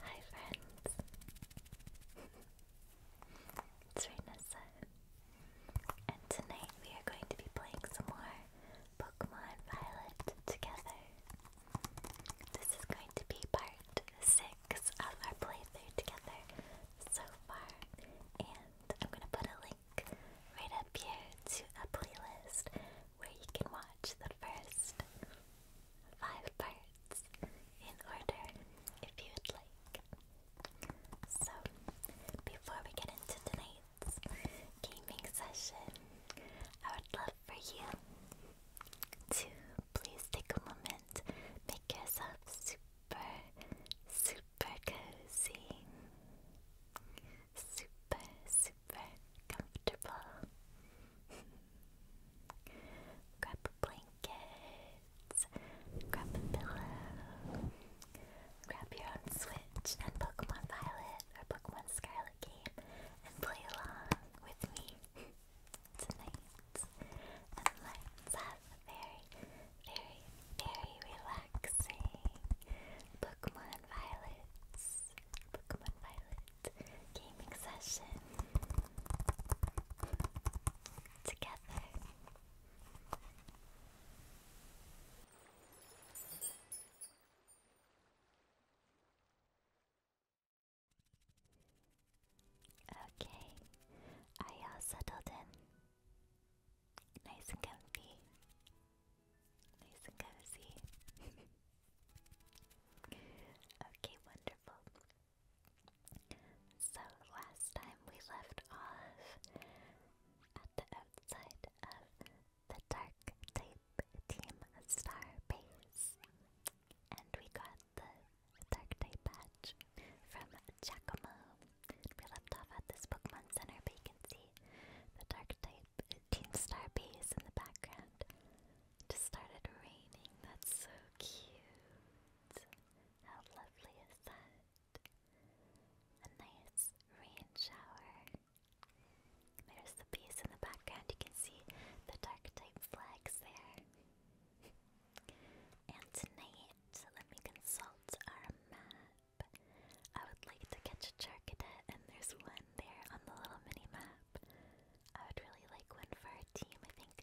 Hi friends! it's Renessa. And tonight we are going to be playing some more Pokemon Violet together. This is going to be part 6 of our playthrough together so far. And I'm going to put a link right up here to a playlist where you can watch the first five parts in order if you would like. So, before we get into tonight's gaming session, I would love for you to please take a moment, make yourself super, super cozy. Super, super super comfortable. grab a blanket, grab a pillow, grab your Switch and Pokemon Violet or Pokemon Scarlet game and play along with me tonight. And let's have a very, very, very relaxing Pokemon Violet. Pokemon Violet gaming session together. Okay, are all settled in? Nice and comfy. Nice and cozy. Okay, wonderful. So last time we left off at the outside of the dark type team star base. And we got the dark type patch from Giacomo. We left off at this Pokemon Center vacancy. The dark type Teamstar base in the background. Just started raining. That's so cute. How lovely is that? A nice rain shower. There's the base in the background. You can see the dark type flags there. and tonight, let me consult our map. I would like to catch a Charcadet, and there's one there on the little mini map. I would really like one for our team. I think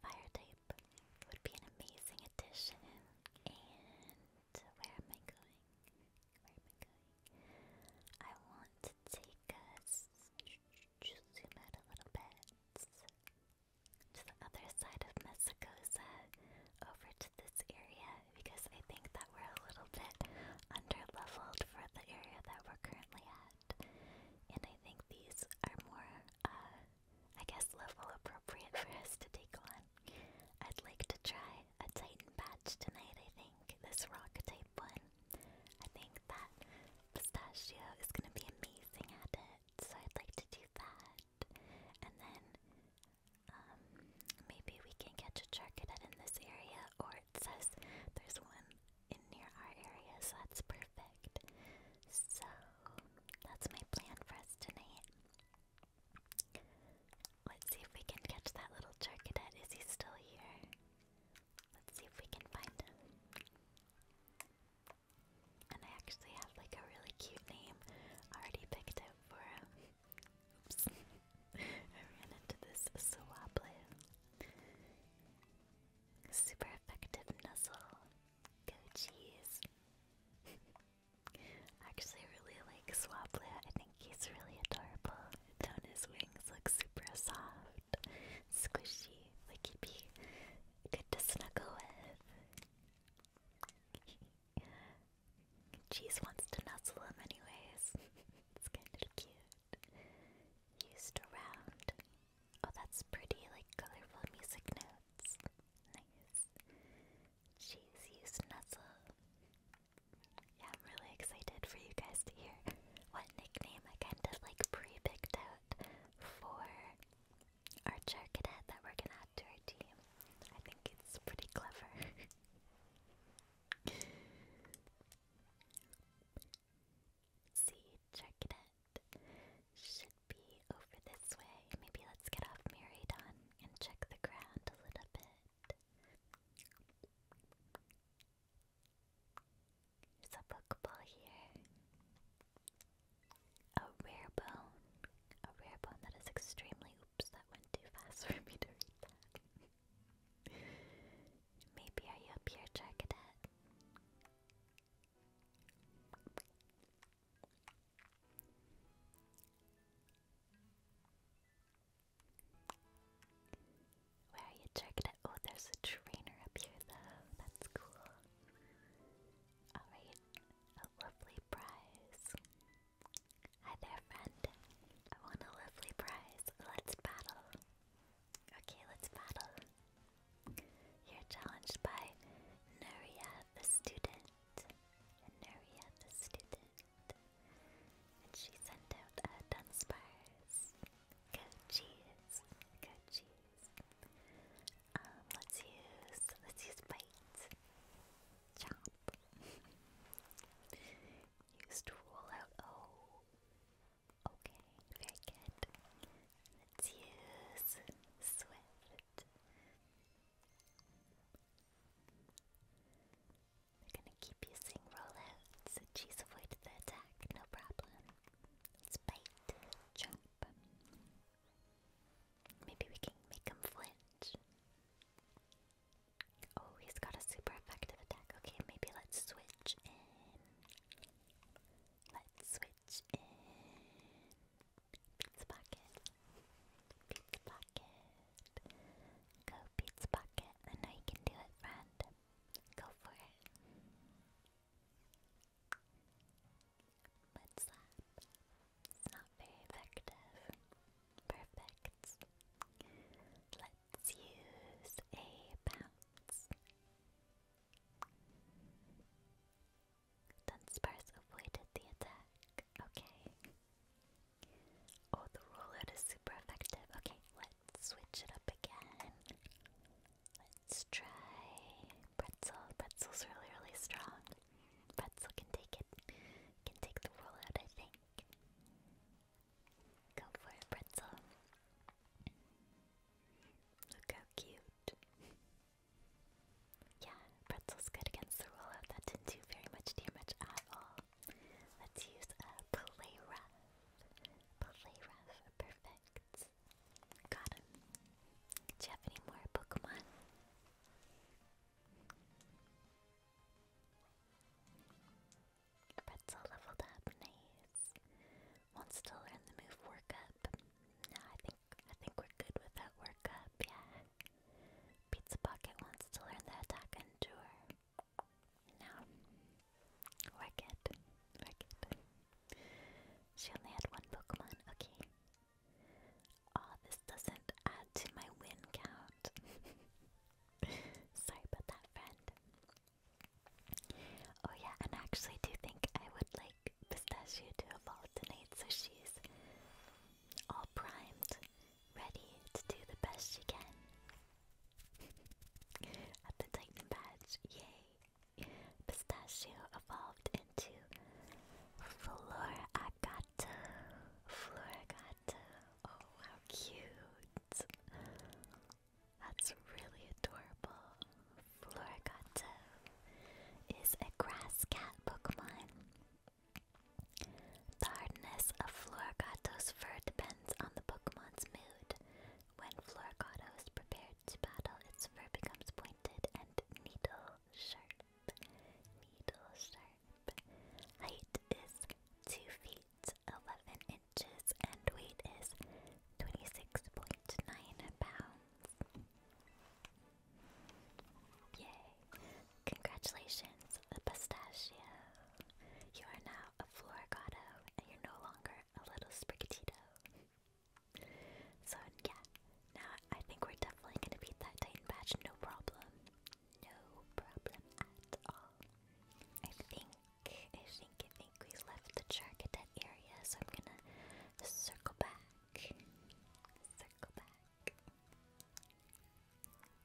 fire type would be an amazing addition. And where am I going? Where am I going? I want to take us just zoom out a little bit to the other side of Mesagosa over to this area because I think that we're a little bit under leveled for the area that we're currently at. And I think these are more, uh, I guess, level appropriate for us to take on. I'd like to try a Titan patch tonight, I think. This rock type one. I think that pistachio is going to be amazing at it, so I'd like to do that. And then um, maybe we can catch a Charcadet in this area or says there's one in near our area, so that's perfect. So that's my plan for us tonight. Let's see if we can catch that little charcadet. Is he still here? Let's see if we can find him. And I actually have like a really cute name already picked out for him. Oops. I ran into this Swablu. Super effective nuzzle. Go cheese. actually really like Swablu. I think he's really adorable. Don't his wings look super soft, squishy, like he'd be good to snuggle with. Cheese wants to nuzzle him anyways. it's kind of cute used around. Oh, that's pretty, like colorful music notes. nice. She's used Nuzzle. Yeah, I'm really excited for you guys to hear what nickname I kind of like pre picked out for our char cadet that we're gonna add to our team. I think it's pretty clever. See, check it out. Should be over this way. Maybe let's get off Miridon and check the ground a little bit. There's a Pokeball here. A rare bone. A rare bone that is extremely oops, that went too fast for me to read Maybe are you a pure target? Where are you targeted? Oh, there's a trainer up here though. That's cool. Alright, a lovely prize. Hi there, friend. I want a lovely prize. Let's battle. Okay, let's battle. You're challenged by Naria the student. Naria the student. And she sent out a Dunsparce. Go cheese. Go cheese. let's use let's use bite. Chomp. Used roll out. Oh. Okay, very good. Let's use Swift. We're gonna keep using rollouts. She's avoided the attack, no problem. let bite, jump. Maybe we can make him flinch. Oh, he's got a super effective attack. Okay, maybe let's switch in. Let's switch in Pizza Pocket. Pizza Pocket. Go Pizza Pocket. I know you can do it, friend. Go for it. Mud slap. It's not very effective. Perfect. Let's Let's use a bounce. Dunsparce avoided the attack. Okay. Oh, the rollout is super effective. Okay, let's switch it up again. Let's try pretzel. Pretzel's really, really strong. Pretzel can take it. Can take the rollout, I think. Go for a pretzel. Look how cute. yeah, pretzel's good against the rollout. That didn't do very much damage at all. Let's use a play rough. Play rough, perfect. Got him. Do you have any more Pokemon? Pretzel leveled up, nice. Wants to learn the move work No, I think I think we're good with that yeah. Pizza Pocket wants to learn the attack endure. No. Work it. She only had one Pokemon, okay. Oh, this doesn't add to my win count. Sorry about that, friend. Oh yeah, and I actually do think I would like Pistachio to evolve tonight, so she's all primed, ready to do the best she can. At the Titan badge, yay! Pistachio evolved into Floragato. Floragato. Oh, how cute! That's really adorable. Florigato is a grass cat Pokemon. The hardness of Florigato's fur depends on the Pokemon's mood. When Florigato is prepared to battle, its fur becomes pointed and needle sharp. Needle sharp. Height is 2 feet 11 inches and weight is 26.9 pounds. Yay! Congratulations, Pistachio! You are now a Florigato and you're no longer a little Sprigatito. So, yeah, now I think we're definitely gonna beat that Titan badge, no problem. No problem at all. I think I think I think we left the shark at that area, so I'm gonna circle back. Circle back.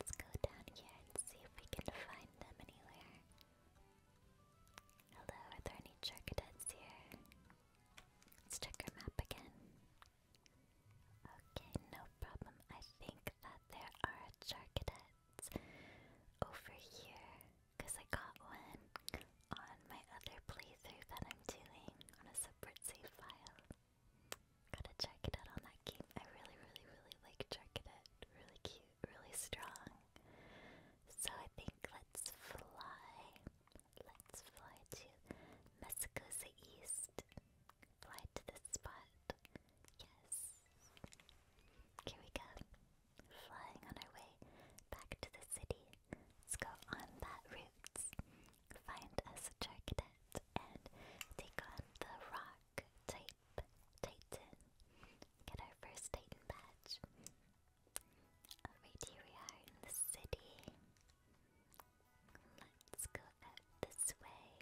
Let's go down here and see if we can find them anywhere. Hello, are there any charcadettes here? Let's check our map again. Okay, no problem. I think that there are charcadettes over here because I got one on my other playthrough that I'm doing on a separate save file. Gotta check it out on that game. I really, really, really like check it out. Really cute, really strong. So I think let's fly. Let's fly to Mexico's East. Fly to this spot. Yes. Here we go. Flying on our way back to the city, let's go on that route, find us a Charcadet, and take on the rock type Titan. Get our first Titan badge. Alright, here we are in the city. Let's go out this way.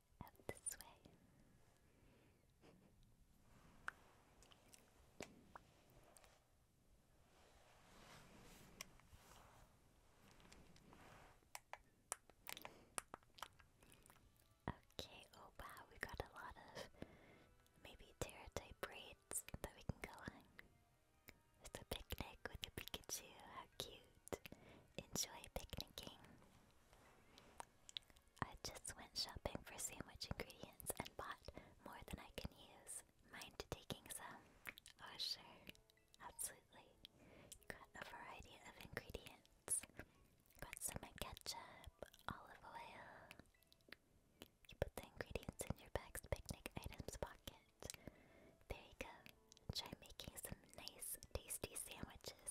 Okay, oh wow, we got a lot of maybe terra type raids that we can go on. With a picnic with a Pikachu, how cute. Enjoy picnicking. I just went shopping for sandwich ingredients and bought more than I can use. Mind taking some? Oh, sure. Absolutely. Got a variety of ingredients. Got some ketchup, olive oil. You put the ingredients in your bag's picnic items pocket. There you go. Try making some nice tasty sandwiches.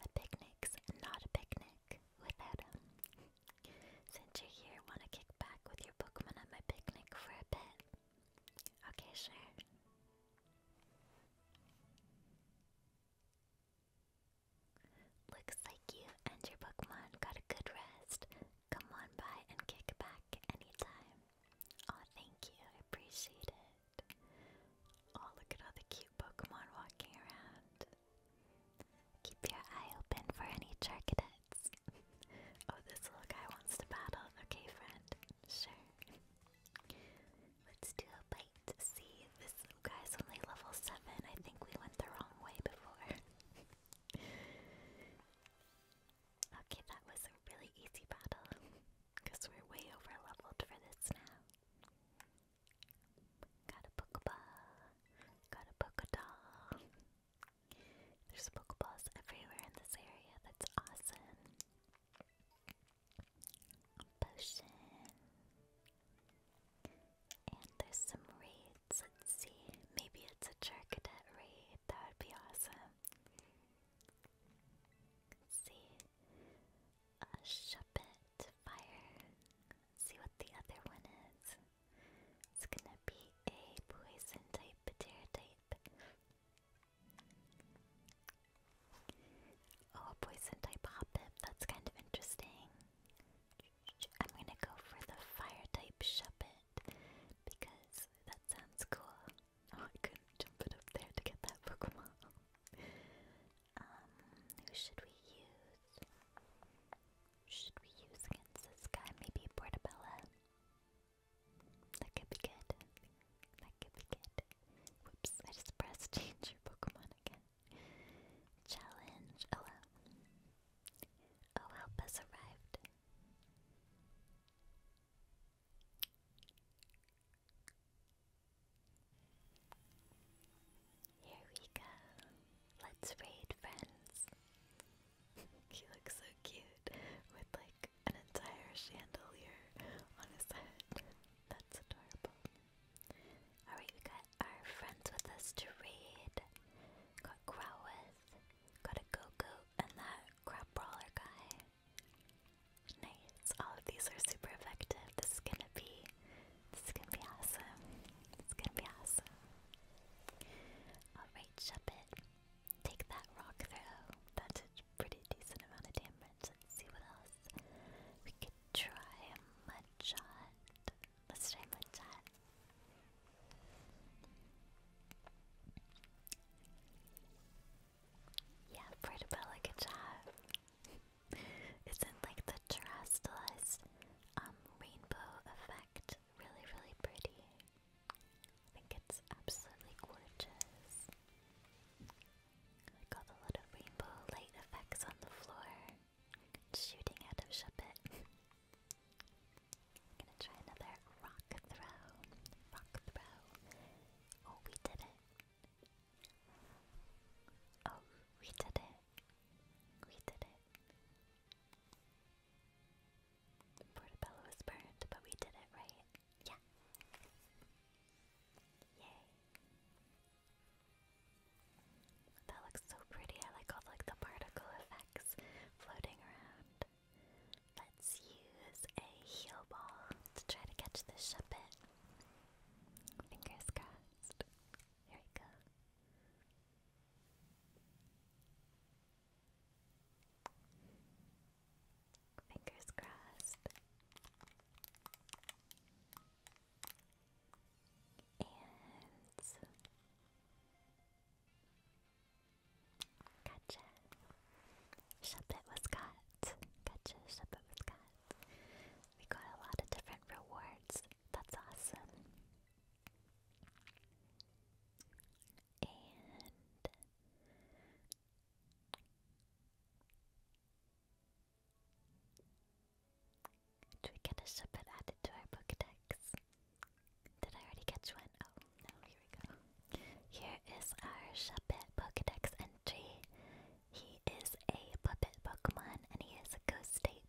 A picnic's not a picnic without them. Since you're here, want to kick back with your Pokemon at my picnic for a bit? Okay, sure. Looks like you and your Pokemon got a good rest. Come on by and kick back anytime. oh, thank you. I appreciate it. Oh, look at all the cute Pokemon walking around. Keep your eye open for any Charcadets. oh, this little guy wants to battle. Okay, friend. Sure. Let's do a bite. See, this guy's only level 7. I think we went the wrong way before. okay, that was a really easy battle. Because we're way over leveled for this now. Got a Pokeball. Got a Pokedoll. There's Pokeballs everywhere in this area. That's awesome. potion. And there's some raids. Let's see. Maybe it's a Charcadet raid. That would be awesome. see a Shuppet fire. see what the other one is. It's gonna be a poison type pterotype. Oh, poison type Hoppip. That's kind of interesting. I'm gonna go for the fire type Shuppet because that sounds cool. Oh, I couldn't jump up there to get that Pokemon. Um, who should we use? Should we use against this guy? Maybe Portabella? That could be good. That could be good. Whoops, I just pressed change your Pokemon again. Challenge. Oh Oh, help has arrived. Here we go. Let's raid friends. he looks so cute with like an entire chandelier on his head. That's adorable. Alright, we got our friends with us to raid. Got Growlithe, got a Goku, and that crab guy. Nice. All of these are super effective. This is gonna be this is gonna be awesome. It's gonna be awesome. Alright, Shuppet. Take that rock throw. That a pretty decent amount of damage. see what else. We could try a mud Let's try mud shot. Yeah, Portabella, good job. Isn't like the terrestrialist um, rainbow effect really really pretty? I think it's absolutely gorgeous. got a lot of rainbow light effects on the floor. Shooting out of Shuppet. gonna try another rock throw. Rock throw. Oh, we did it. Oh, we did it. We did it. Portobello was burned, but we did it right. Yeah. Yay. That looks so pretty. I like all like the particle effects floating around. Let's use a heal ball to try to catch this Shuppet. Fingers crossed best. Here we go. Fingers crossed. And gotcha. Shuppet was got. Gotcha, Shuppet was got. We got a lot of different rewards. That's awesome. And do we get a shipment added to our Pokedex? Did I already catch one? Oh, no, here we go. Here is our Shuppet Pokedex entry. He is a puppet Pokemon and he has a ghost type,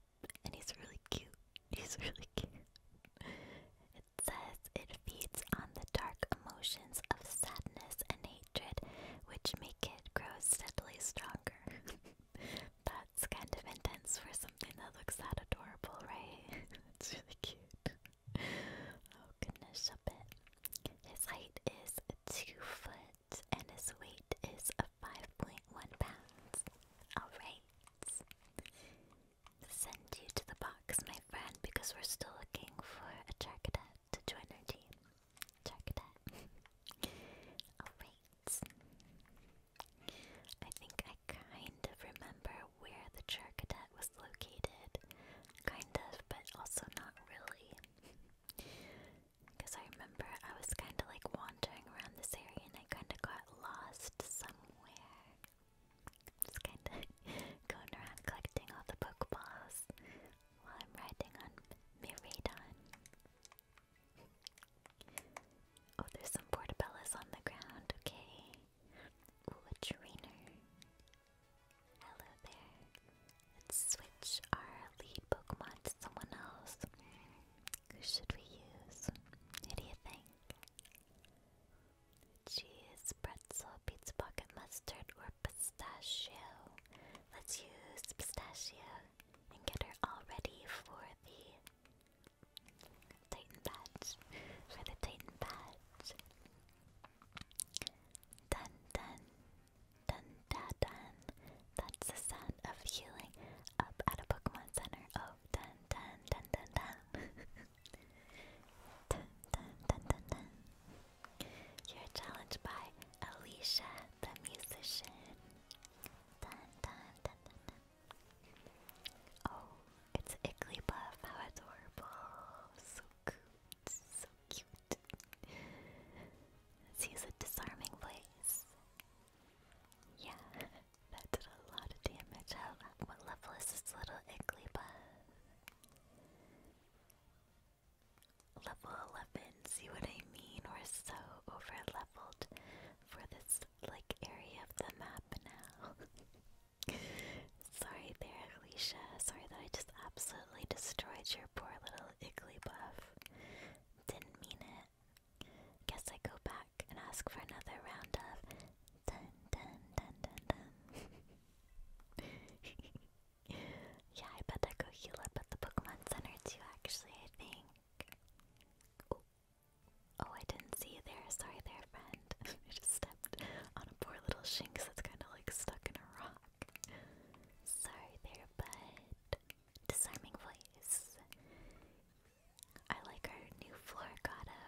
and he's really cute. He's really cute. It says it feeds on the dark emotions of sadness and hatred which make it grow steadily stronger. That's kind of intense for something that looks that adorable, right? it's really cute. Oh goodness, a bit. His height is two foot and his weight is 5.1 pounds. Alright. Send you to the box, my friend, because we're still looking for a Charcadet to join our team. Charcadet. Alright. I think I kind of remember where the Charcadet was located. Kind of, but also not really. Because I remember I was kind of like wandering around this area and I kind of got lost somewhere. Just kind of going around collecting all the Pokeballs while I'm riding on Miradon. Oh, there's some Portabellas on the ground, okay. Ooh, a trainer. Hello there. Let's switch our lead Pokemon to someone else. Who should we use? Who do you think? Cheese, pretzel, pizza pocket, mustard, or pistachio. Let's use pistachio and get her all ready for the Titan badge. For the Titan badge. Dun dun Dun da dun. That's the sound of healing up at a Pokemon Center. Oh, dun dun dun dun dun. dun, dun, dun, dun, dun. You're challenged by Alicia the musician. Dun dun dun dun dun. Oh, it's Igglybuff. How adorable. So cute. So cute. Let's a disarming voice. Yeah, that did a lot of damage. what level is this little Igglybuff? Level 11, see what I mean? We're so over leveled for this, like, area of the map now. Sorry there, Alicia. Sorry that I just absolutely destroyed your poor little Igglybuff. Didn't mean it. Guess I go back and ask for another round of dun dun dun dun dun. yeah, I bet I go heal up at the Pokemon Center too, actually, I think. Oh, oh I didn't see there. Sorry there, friend. I just stepped on a poor little shinx that's kind of like stuck in a rock. Sorry there, bud disarming voice. I like her new Floricato.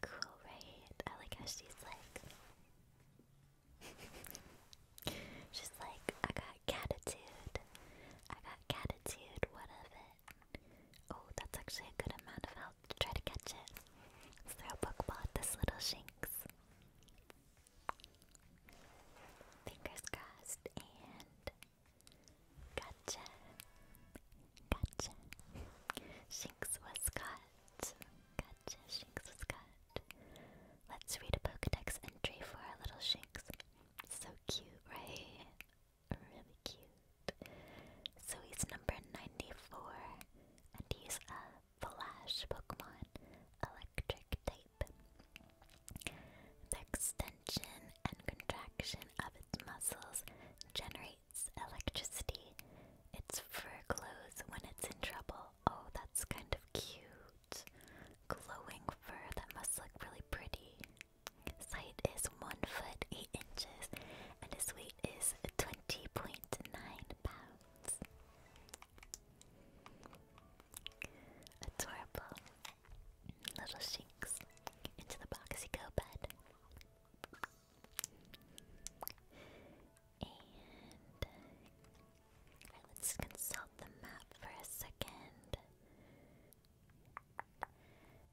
Cool, right? I like how she's like. she's like, I got catitude. I got catitude. What of it? Oh, that's actually a good amount of help to try to catch it. throw a Pokeball at this little Shinx. Fingers crossed and gotcha. Gotcha. Shinx was caught. Gotcha, Shinx was caught. Let's read a Pokedex entry for our little Shinx. So cute, right? Really cute. So he's number 94, and he's a Flash Pokemon, Electric type. The extension and contraction of its muscles generates electricity. Its fur glows when it's in trouble. Oh, that's kind of cute. Glowing fur that must look really pretty. height is 1 foot 8 inches and its weight is 20.9 pounds. Adorable. Little shinks. Into the box go, bud. And uh, let's consult the map for a second.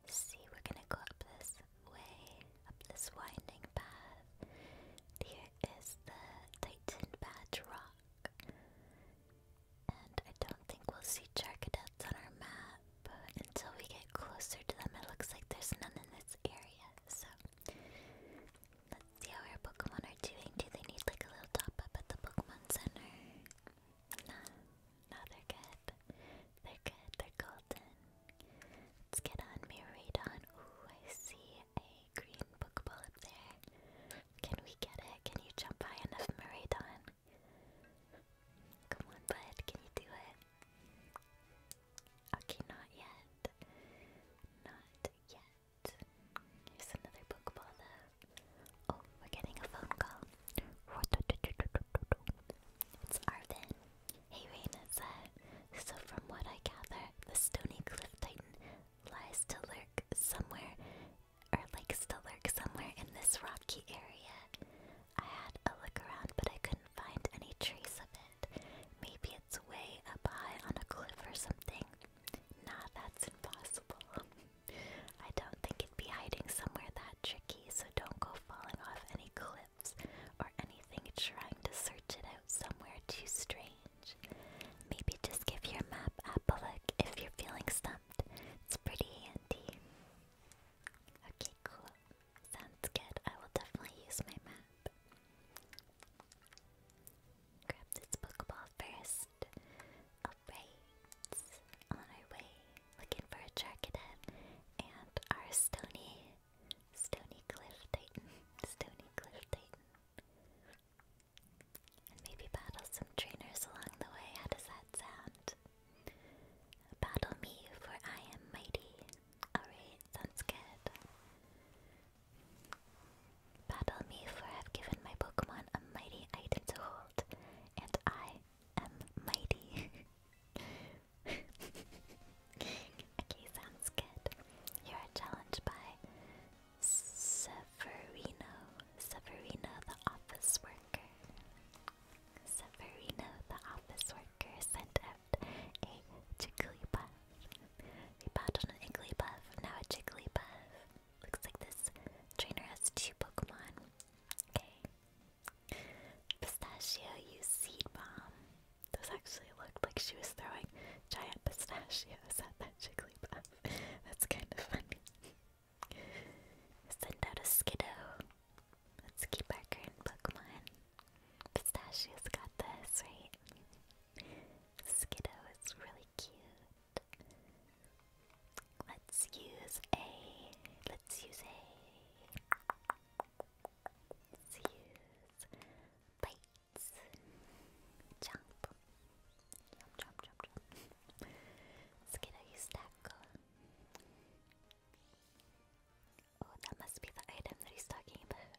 See, we're gonna go up this way, up this winding path. Here is the Titan Badge Rock. And I don't think we'll see Charcadettes on our map until we get closer to them. It looks like there's none in this area, so let's see how our Pokemon are doing. Do they need like a little top up at the Pokemon Center? No, no, they're good. They're good, they're golden. Let's get on Miradon. Ooh, I see a green Pokeball up there. Can we get it? Can you jump high enough, Maradon? Come on, bud. Can you do it? Okay, not yet. Not yet. Here's another Pokeball, though. Oh, we're getting a phone call. It's Arvin. Hey, Raina, it's So, from what I gather, the Stony Cliff Titan lies to lurk somewhere or likes still lurk somewhere in this rocky area. I had a look around, but I couldn't find any trace of it. Maybe it's way up high on a cliff or something. Nah, that's impossible. I don't think it'd be hiding somewhere that tricky, so don't go falling off any cliffs or anything trying to search it out somewhere too strange. Maybe just give your map a look if you're feeling stumped. It's pretty handy. Okay, cool. Sounds good. I will definitely use my map. Grab this Pokeball first. Alright. On our way. Looking for a Charcadet and our Stony. Stony Cliff Titan. Stony Cliff Titan. And maybe battle some trainers along the way. How does that sound? Battle me, for I am mighty. Alright, sounds good. Battle me, for I have given my Pokemon a mighty item to hold, and I am mighty. okay, sounds good. You are challenged by Severino, Severino the office worker. Severino the office worker sent out a Jigglypuff. We bought an Igglybuff, now a Jigglypuff. Looks like this trainer has two Pokemon. Okay. Pistachio used Seed Bomb. Those actually looked like she was throwing giant pistachios at that Jigglypuff. That's kind of funny. Send out a Skiddo. Let's keep our current Pokemon. Pistachio's got this, right? Skiddo is really cute. Let's use a. Let's use a. Let's use bites. Jump. Chop, chop, chop, chop. Skittle, stack. Oh, that must be the item that he's talking about.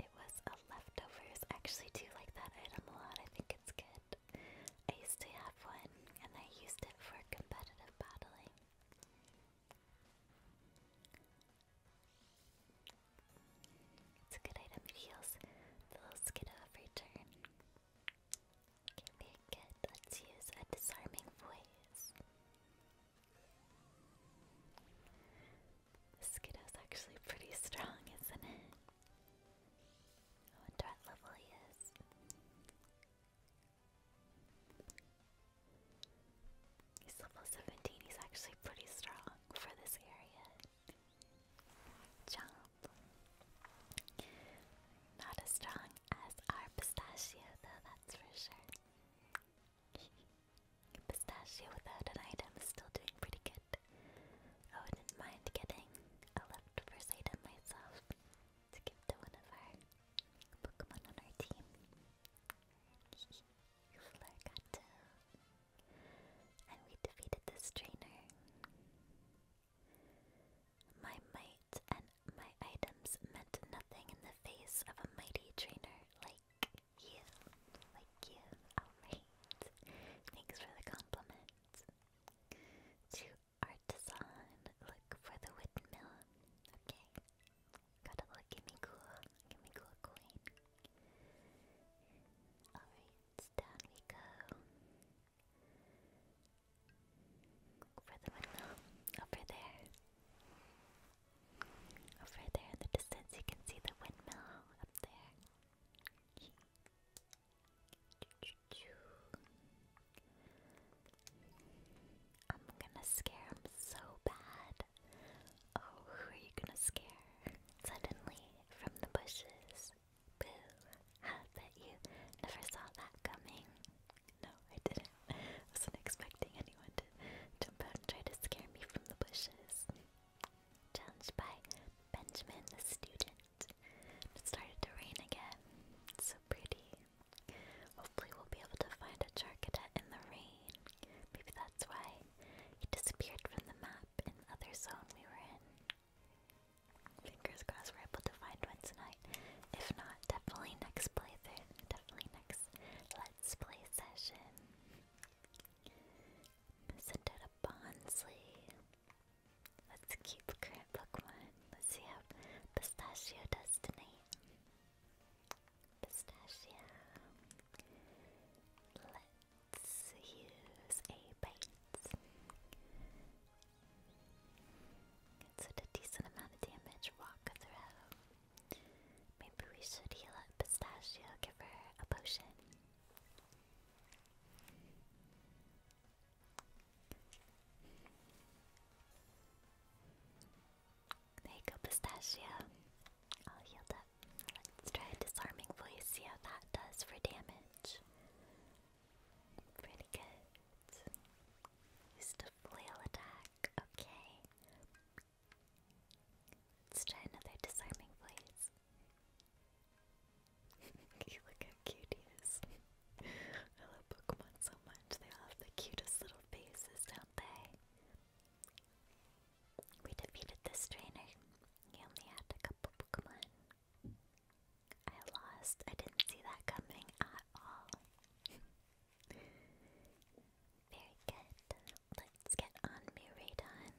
It was a leftovers. I actually do like that item a lot. I think it's good. I used to have one, and I used it for competitive battling. It's a good item, it heals the little skiddo every turn. Okay, very good. Let's use a disarming voice. skiddo's actually pretty strong, isn't it? I wonder level he is. He's level 17, he's actually pretty strong for this area. Jump. Not as strong as our pistachio, though, that's for sure. pistachio without an item is still doing pretty good. I wouldn't mind getting a leftovers item myself to give to one of our Pokemon on our team. Florgato. And we defeated this trainer. My might and my items meant nothing in the face of a mighty trainer like you. Like you. Alright. Thanks for the compliment. To artisan, look for the windmill. Okay. Gotta look, give me cool. Give me cool coin. Alright down we go. For the windmill, over there. Over there in the distance, you can see the windmill up there. I'm gonna scare him so bad. Oh, who are you gonna scare? Suddenly, from the bushes, Boo! I bet you never saw that coming. No, I didn't. wasn't expecting anyone to jump out and try to scare me from the bushes. Challenged by Benjamin the student. It started to rain again. so pretty. Hopefully we'll be able to find a char in the rain. Maybe that's why he disappeared from the map in the other zone we were in. Fingers crossed we're able to find one tonight. If not, definitely next playthrough. Definitely next Let's Play session. Send out a Bonsley. Let's keep current Pokemon. Let's see how Pistachio does tonight. Pistachio. Let's it's a decent amount of damage. Walk through. Maybe we should heal up Pistachio, give her a potion. There you go, Pistachio. All healed up. Let's try disarming voice, see how that does for damage. Pretty good. Use the flail attack, okay. Let's try another disarming voice. look how cute he is. I love Pokemon so much. They all have the cutest little faces, don't they? We defeated this trainer. He only had a couple Pokemon. I lost. I didn't see that coming at all. Very good. Let's get on Muradon.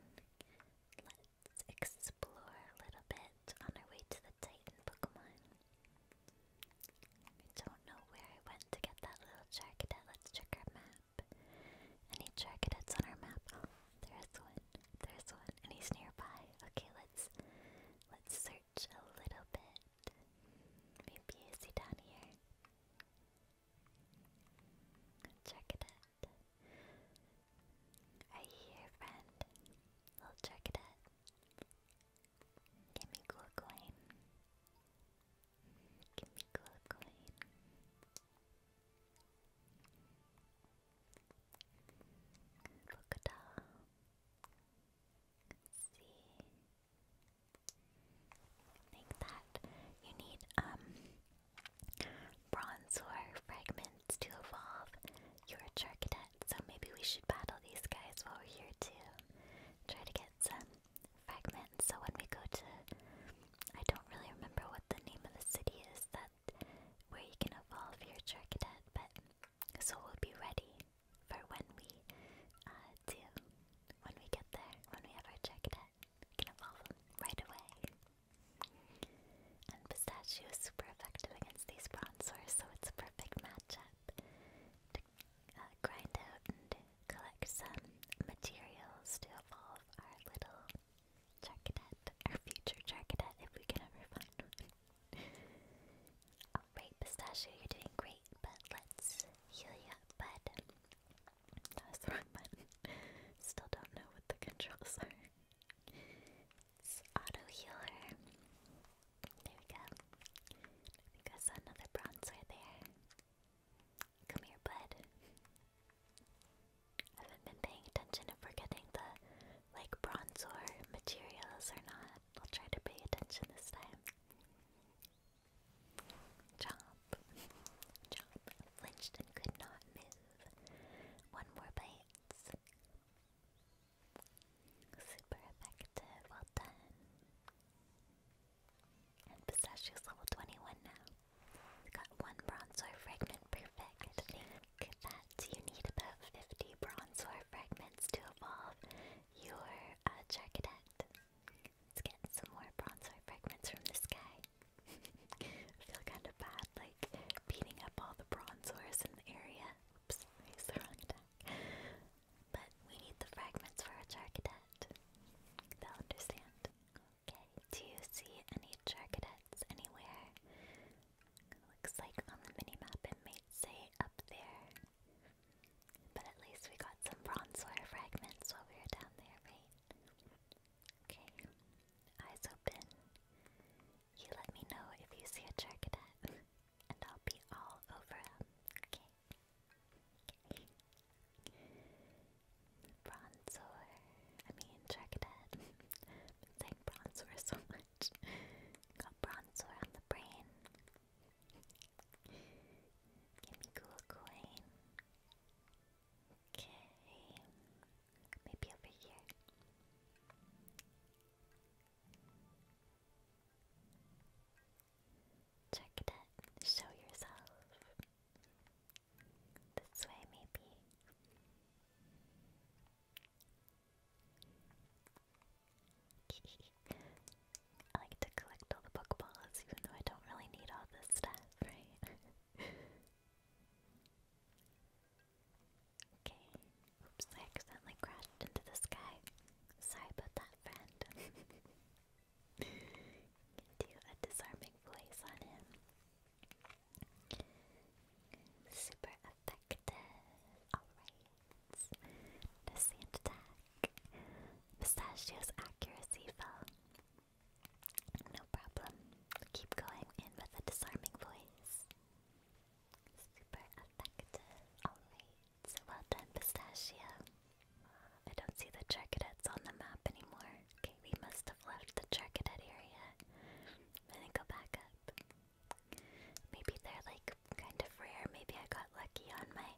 Let's explore a little bit on our way to the Titan Pokemon. I don't know where I went to get that little Charcadet. Let's check our map. Any Charcadets on our map? there's one. There's one. And he's nearby. Okay, let's let's search a little bit. Maybe is he down here? Check it out. Are you friend? we check it out. Give me cool coin. Give me cool coin. Look at that. see. think that you need um, bronze or fragments to evolve your Charcadet, so maybe we should battle these guys while we're here too. Try to get some fragments so when we go to I don't really remember what the name of the city is that where you can evolve your Charcadet, but so we'll be ready for when we uh, do, when we get there, when we have our Charcadet, we can evolve right away. And Pistachio is super effective against these Bronzors, so it's a perfect matchup to uh, grind out and collect some materials to evolve our little Charcadet, our future Charcadet, if we can ever find Alright, Pistachio, you're doing great, but let's heal you bud. That was the wrong button. Still don't know what the controls are. auto healer. There we go. I think another bronzer there. Come here, bud. I haven't been paying attention if we're getting the like bronze ore materials or not. I'll try to pay attention this time. Chomp. Chomp. Flinched and could not move. One more bite. Super effective. Well done. And Pistachio's level 21 now. got one bronze fragment perfect. I think that that you need about 50 bronze fragments to evolve your uh, Charcadet. Let's get some more bronze fragments from this guy. feel kind of bad, like, beating up all the bronze in the area. Oops, he's the wrong deck. But we need the fragments for a Charcadet. They'll understand. Okay, do you see any Charcadets anywhere? Looks like on the mini map it might say up there. But at least we got some bronze ore fragments while we were down there, right? Okay, eyes open. You let me know if you see a Charcadet, and I'll be all over him. Okay. Okay. Bronzor. I mean, Charcadet. been saying bronzor so much much. Got bronzer on the brain. Give me cool coin. Okay. Maybe over here. Check it Show yourself. This way, maybe. I like to collect all the Pokeballs, even though I don't really need all this stuff, right? okay. Oops, I accidentally crashed into the sky. Sorry about that, friend. you do a disarming voice on him. Super effective. Alright. No sand attack. Pistachio's accuracy fell. No problem. Keep going in with a disarming voice. Super effective. Alright. well done, Pistachio. I don't see the Charcadettes on the map anymore. Okay, we must have left the Charcadet area. I'm go back up. Maybe they're like kind of rare. Maybe I got lucky on my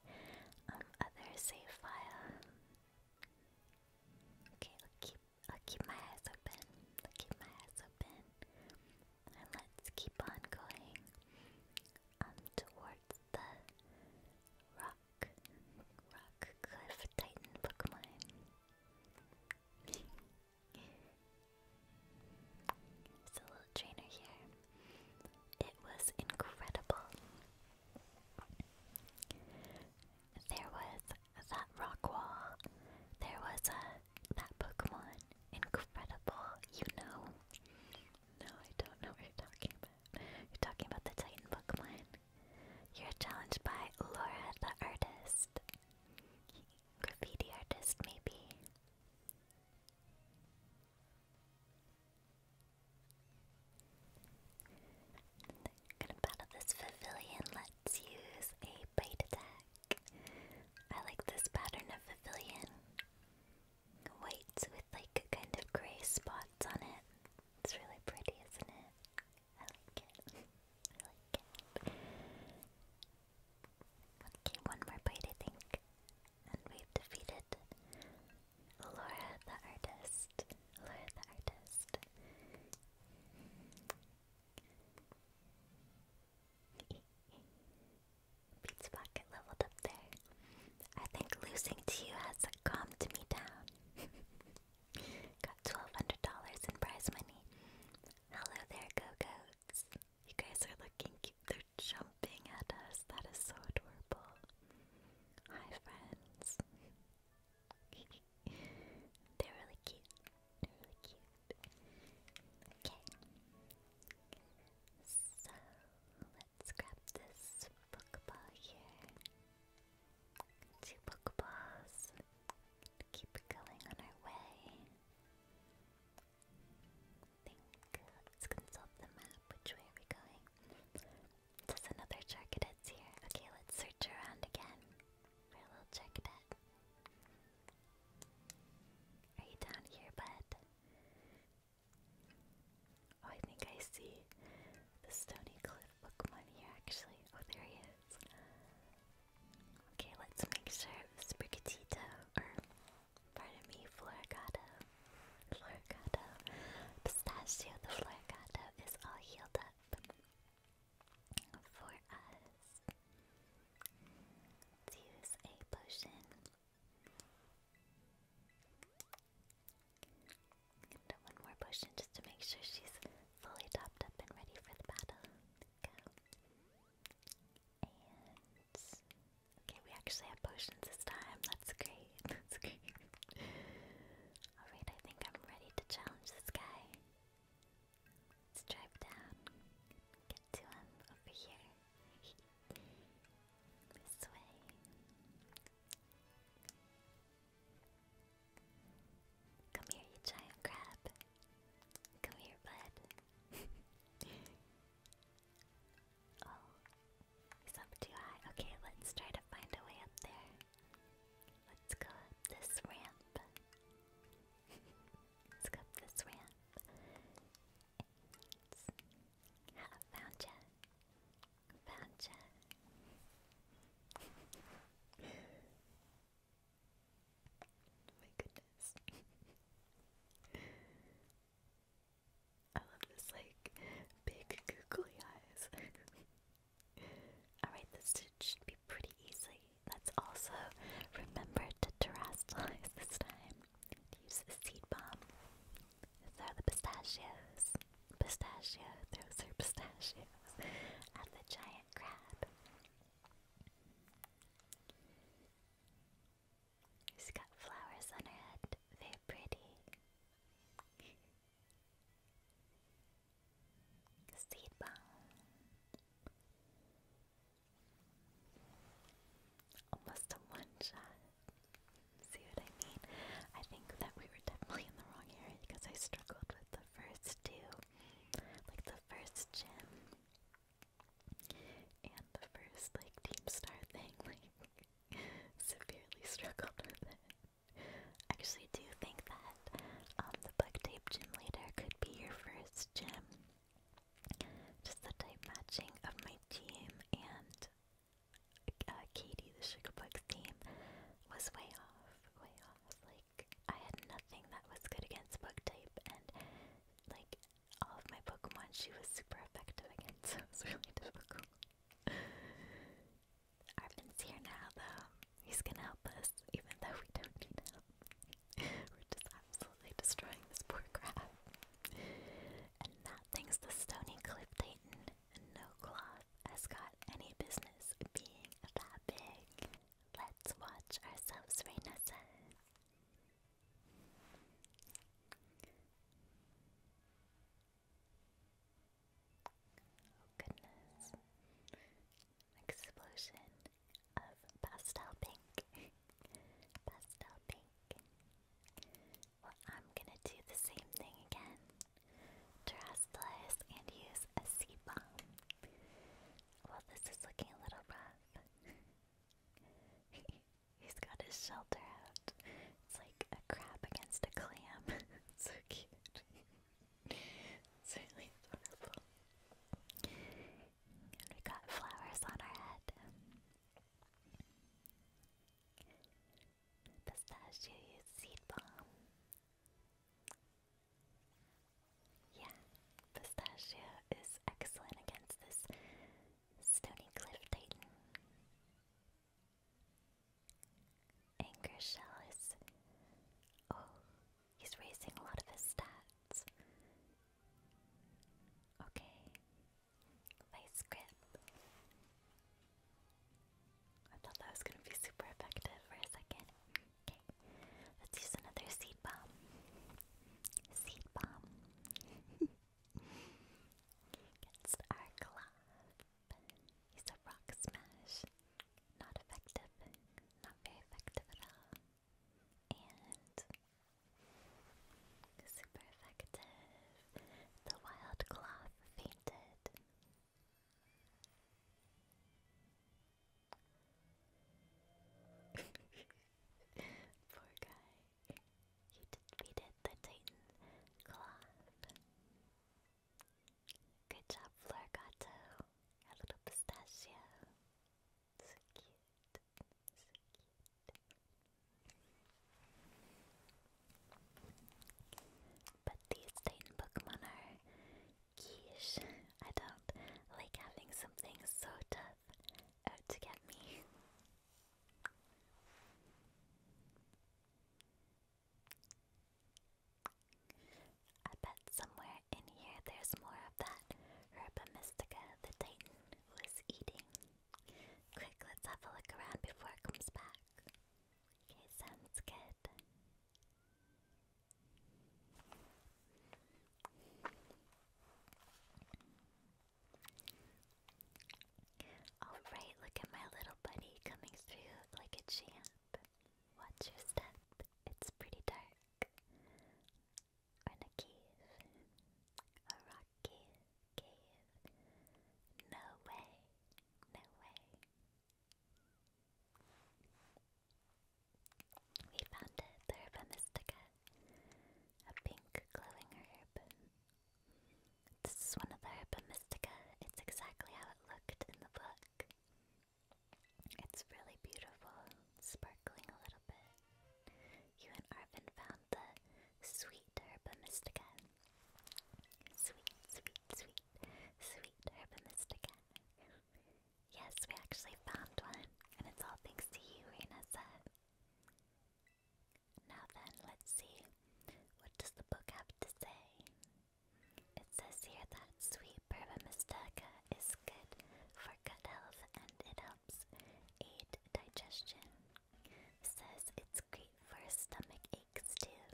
um, other save file. Okay, I'll keep I'll keep my eyes open. I'll keep my eyes open. And let's keep on going towards the rock rock cliff titan Pokemon. There's little trainer here. It was incredible. There was that rock wall. There was uh, that Pokemon. Incredible, you know. No, I don't know what you're talking about. You're talking about the Titan Pokemon. You're challenged by Laura the Artist. Graffiti artist, maybe? Gonna battle this pavilion. Let's use a bite attack. I like this pattern of pavilion. White with like kind of grey spots on it. It's really pretty, isn't it? I like it. I like it. Okay, one more bite, I think. And we've defeated Laura the Artist. Laura the Artist. Beats Pocket leveled up there. I think losing to you has calmed me down. Got $1,200 in prize money. Hello there, Go you guys are looking cute. They're jumping at us. That is so adorable. Hi, friends. They're really cute. They're really cute. Okay. So, let's grab this Pokeball here. Two Pokeballs. Keep going on our way. Let's consult the map. Which way are we going? There's another Charcadet's here. Okay, let's search around again for a little Charcadet. Are you down here, bud? Oh, I think I see the Stony Cliff Pokemon here, actually. Oh, there he is. Okay, let's make sure Sprigatito, or pardon me, Floragato, Floragato, Pistacio, the Floragato is all healed up for us. use a potion. And one more potion just to make sure she's fully topped up and ready for the battle. Go okay, we actually have potions this time. That's great. That's great. Alright, I think I'm ready to challenge this guy. Let's drive down. Get to him over here. this way. Come here, you giant crab. Come here, bud. oh, he's up too high. Okay, let's try to find a way up there. Let's go up this ramp. let's go up this ramp. And... found ya. Found ya. My goodness. I love this, like, big googly eyes. Alright, this should be pretty easy. Let's also remember to terrestrialize this time. Use the seed bomb. These the pistachios. Pistachio, those are pistachios. At the giant crab. She's got flowers on her head. Very pretty. Seed Almost a one shot. See what I mean? I think that we were definitely in the wrong area because I struggled with the first two. Like the first gym. And the first like Team Star thing, like severely struggled with it. Actually, do think that um, the Bug Tape Gym Leader could be your first gym. Just the type matching of my team and uh, Katie, the Sugarbug's team, was way off. Way off. Like I had nothing that was good against bug type, and like all of my Pokemon, she was super effective against, so really difficult. Arvin's here now, though. He's gonna help us, even though we don't need help. We're just absolutely destroying this poor crab. And that thing's the Stony Cliff Titan, and no cloth has got any business being that big. Let's watch ourselves renaissance. Oh goodness. Explosion of pastel pink. pastel pink. Well, I'm gonna do the same thing again. Terrestrialize and use a bomb. Well, this is looking a little rough. He's got his shelter out. It's like a crab against a clam. so cute. it's adorable. And we got flowers on our head. Pistachio seed bomb. Yeah, Pistachio is excellent against this Stony Cliff Titan. Anger Shell is. Oh, he's raising a lot of his stats. Okay. Vice Grip. I thought that was gonna be super effective for a second. Okay, let's use another seed bomb. Seed bomb. Against our club. He's a rock smash. Not effective. Not very effective at all. And super effective. The wild cloth fainted. Poor guy. He defeated the Titan Cloth. Good job, Florgato. A little pistachio. So cute. So cute. But these Titan Pokemon are quiche. I don't like having something so tough love uh, out to get me. I bet somewhere in here there's more of that Herba the Titan was eating. Quick, let's have a look around before it comes back. Okay, sounds good. Alright, look at my little buddy coming through like a champ. Watch your step, it's pretty dark. a cave. A rock Cave. No way. No way. We found it, the herba a pink glowing herb. This is one of the herba It's exactly how it looked in the book. It's really beautiful, sparkling a little bit. You and Arvin found the sweet herba Sweet, sweet, sweet, sweet herba mystica. Yes, we actually found one, and it's all thanks to you, Renessa. Now then, let's see. What does the book have to say? It says here that sweet Burba Mustaka is good for good health and it helps aid digestion. Says it's great for stomach aches too,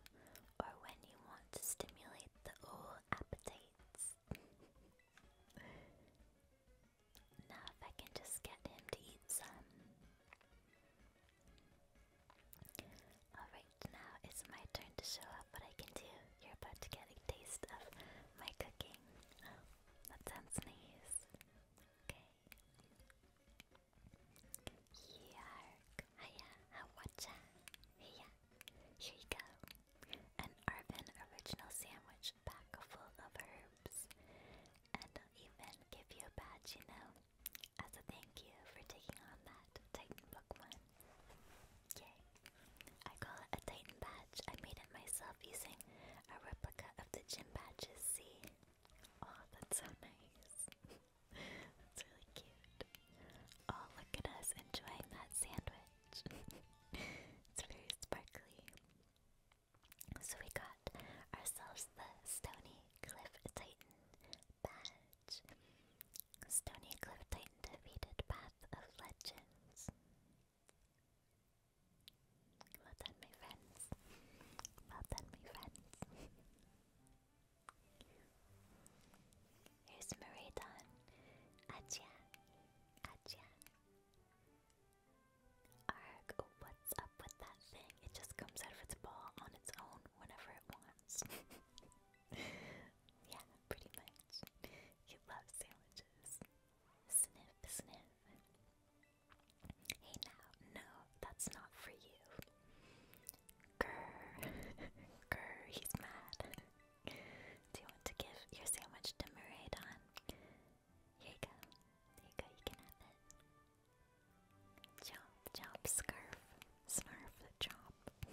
or when you want to stimulate the old appetites. Now if I can just get him to eat some. Alright, now it's my turn to show up what I can do. You're about to get a taste of my cooking. Oh, that sounds nice. Okay. Yark. Hiya. Awacha. Hiya. Here you go an Arvin original sandwich pack full of herbs, and I'll even give you a badge, you know, as a thank you for taking on that Titan one. Yay! I call it a Titan badge. I made it myself using a replica of the gym badges. See? Oh, that's so nice. that's really cute. Oh, look at us enjoying that sandwich. it's very sparkly. So we got ourselves the Stony Cliff Titan badge. Stony Cliff Titan defeated Path of Legends. Well done, my friends. Well done, my friends. Here's Maridon. Achia. Achia. Arg, what's up with that thing? It just comes out of its ball on its own whenever it wants. yeah, pretty much. You love sandwiches. Sniff, sniff. Hey now, no, that's not for you. Grr, grr, he's mad. Do you want to give your sandwich to Maraidon? Here you go. There you go, you can have it. Chomp, chomp, scarf, snarf, chomp.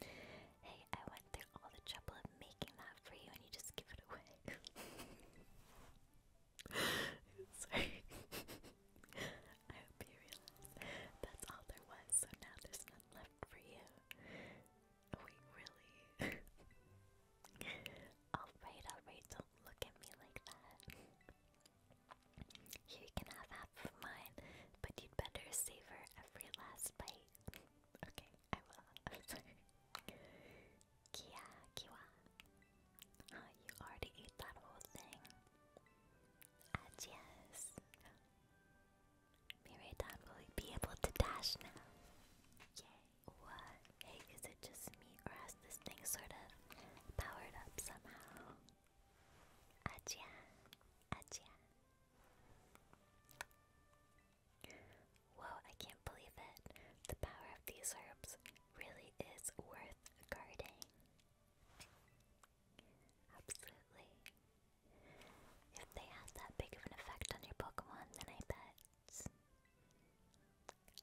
hey, I went through all the trouble of making that for you and you just give it away. Sorry. I hope you realize that's all there was, so now there's nothing left for you. Wait, really? alright, alright, don't look at me like that. you can have half of mine, but you'd better savor every last bite. okay, I will. i Kia, you already ate that whole thing. Adios. Ah, Miradan will be able to dash now. Yay. What? Hey, is it just me or has this thing sort of powered up somehow? Achia, achia. Whoa, I can't believe it. The power of these herbs really is worth guarding. Absolutely. If they had that big of an effect on your Pokemon, then I bet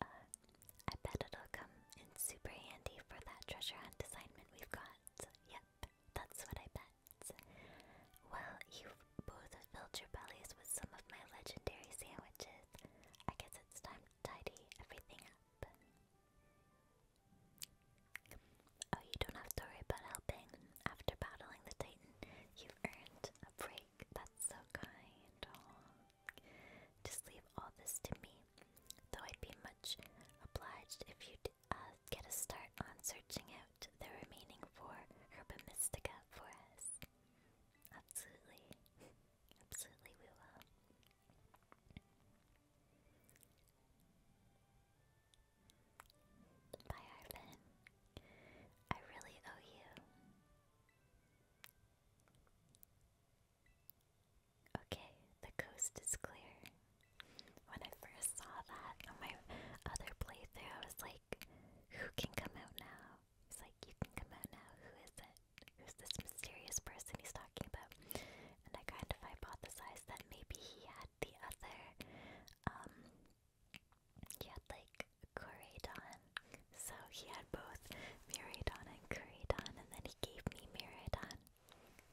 I bet it'll come in super handy for that treasure hunt assignment we've got. Yep, that's what I bet. Well, you both filled your bellies with some of my legendary sandwiches. I guess it's time to tidy everything up. Oh, you don't have to worry about helping. After battling the Titan, you've earned a break that's so kind. Just leave all this to me. Though I'd be much obliged if you'd uh, get a start on searching out the remaining four Herba Mystica for us. Absolutely. Absolutely, we will. Bye, Arvin. I really owe you. Okay, the coast is clear. When I first saw that on my other playthrough, I was like, who can come out now? He's like, you can come out now. Who is it? Who's this mysterious person he's talking about? And I kind of hypothesized that maybe he had the other um, he had like Koridon. So he had both Miradon and Koridon, and then he gave me Miradon.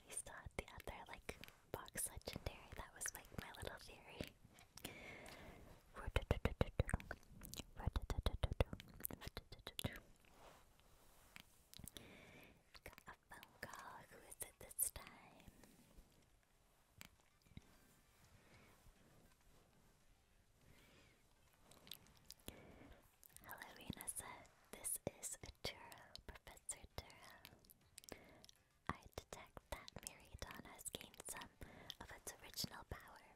He still the other like box legendary. That was like my little theory. Got a phone call. Who is it this time? Hello, Renessa. This is Turo, Professor Turo. I detect that Miriadon has gained some of its original power.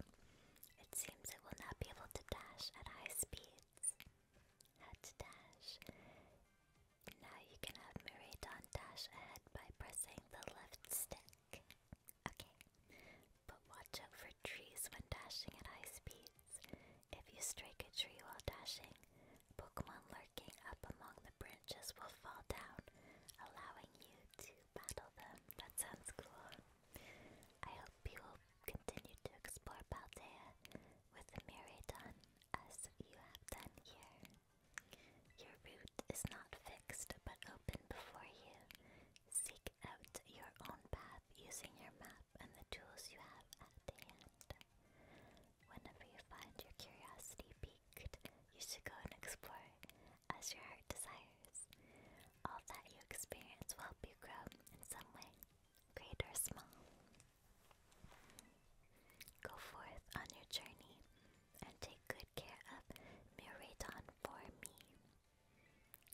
It seems it will not be able to dash at high speeds. Head to dash. Now you can have Miriadon dash ahead by pressing the left stick but watch out for trees when dashing at high speeds. If you strike a tree while dashing, Pokemon lurking up among the branches will fall down, allowing you to battle them. That sounds cool. I hope you will continue to explore Paldea with the Miradon as you have done here. Your route is not fixed but open before you. Seek out your own path using your map and the tools you have at hand. Whenever you find your curiosity piqued, you should go and explore as your heart desires. All that you experience will help you grow in some way, great or small. Go forth on your journey and take good care of Miradon for me.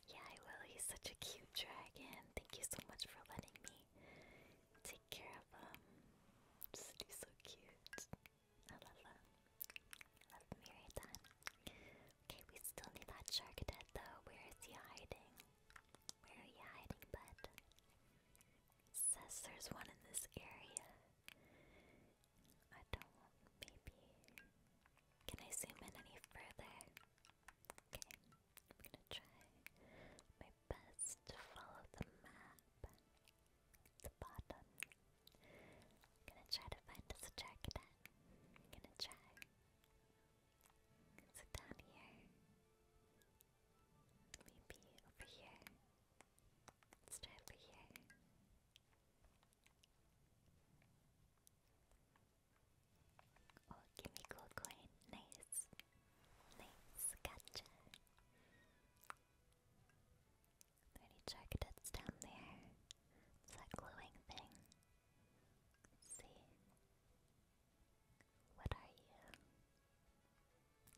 Yeah, I will. He's such a cute dragon. Thank you so much for letting me take care of him. Just he's so cute. I love him. love Miradon. Okay, we still need that shark dead though. Where is he hiding? Where are hiding, bud? says there's one in this area. I don't want maybe. Can I zoom in any further? Okay, I'm gonna try my best to follow the map. The bottom. I'm gonna try to find this jacket. I'm gonna try. Is it down here? Maybe over here. Let's try over here. Oh, give me cool coin. Nice. Nice. Gotcha. Thirty charcadets down there. It's that glowing thing. see. What are you?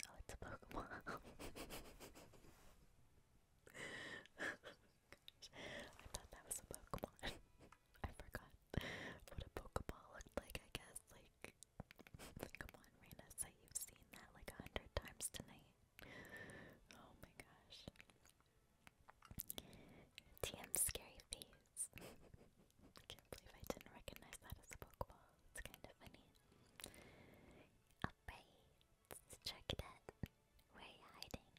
Oh, it's a Pokemon. I thought that was a Pokemon. I forgot what a Pokeball looked like, I guess. Like, come on, Raina, say you've seen that like a hundred times tonight. Oh my gosh. TM Scary Face. can't believe I didn't recognize that as a Pokeball. It's kind of funny. Alright, let's check that. Where are you hiding?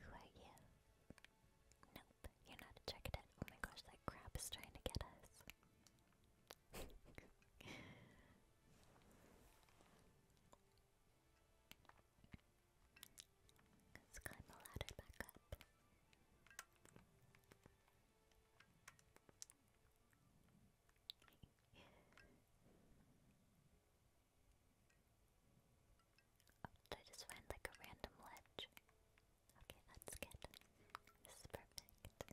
Who are you? Nope, you're not a Chuckadet. Oh my gosh, that crab is trying to get us. Let's climb the ladder back up. Oh, did I just find like a random ledge? Okay, that's good. This is perfect.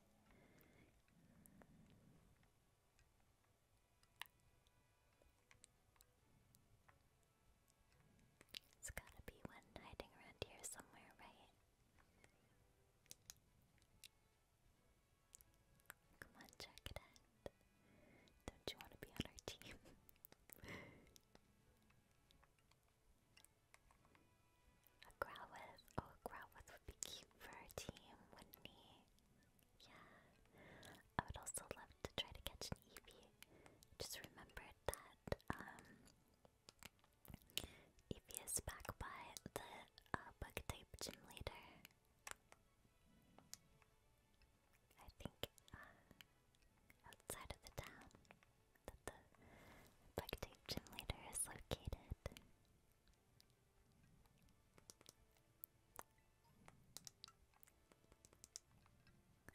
It's gotta be one hiding around here somewhere, right? Come on, check Don't you want to be on our team? a Oh, a would be cute for our team, wouldn't he? Yeah. I would also love to try to catch an EV. Just remember that, um, Eevee is back by the uh, bug type gym leader. I think uh, outside of the town that the Black Tape Gym Leader is located.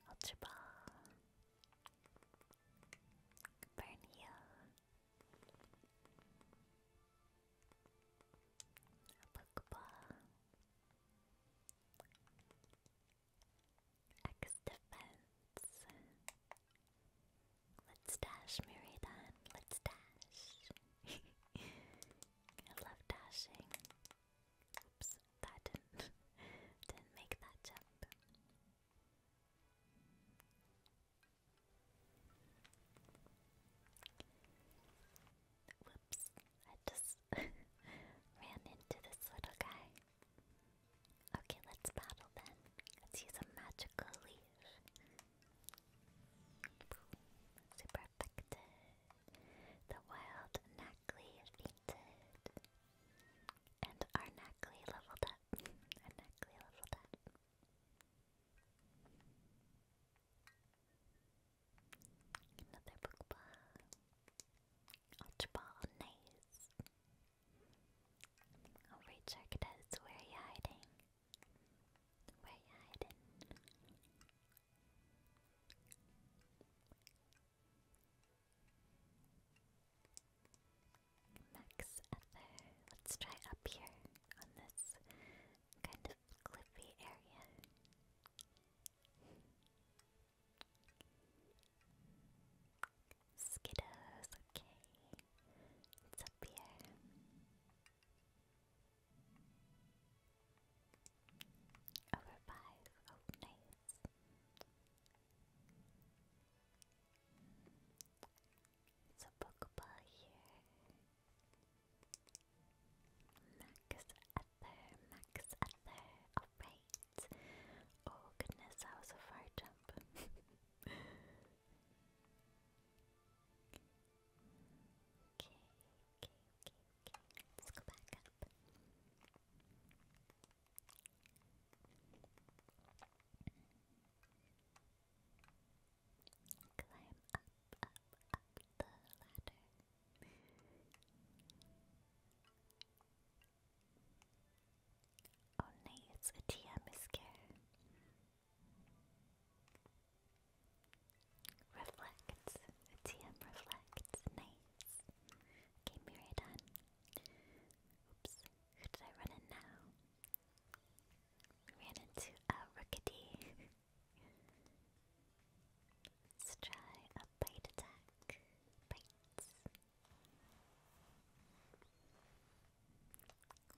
Ultra Ball, Burn Heal. Pokeball. X defense. Let's dash, Mary. Miridan. Let's dash. I love dashing. Oops, that didn't didn't make that jump. Whoops, I just ran into this little guy. Okay, let's battle then. Let's use a magical leaf. Super effective. The wild Knackly fainted. And our Knackly leveled up. our Knackly leveled up. Another bookba. Archibald Nays. Alright, Sharkadas, where are you hiding? Where are you hiding? Max Let's try up here on this kind of cliffy area. Skiddos, okay. It's up here. Over five. Oh, nice. So Pokeball Max Ether, Max Ether, alright. Oh goodness, that was a far jump. okay, okay, okay, okay. Let's go back up. Okay, Climb up, up, up the ladder. Oh nay, it's a TM scare. Reflect. TM reflect. Nice. Okay, mirror done. Oops. Who did I run in now? Ran into a uh, Let's try a bite attack. Bites.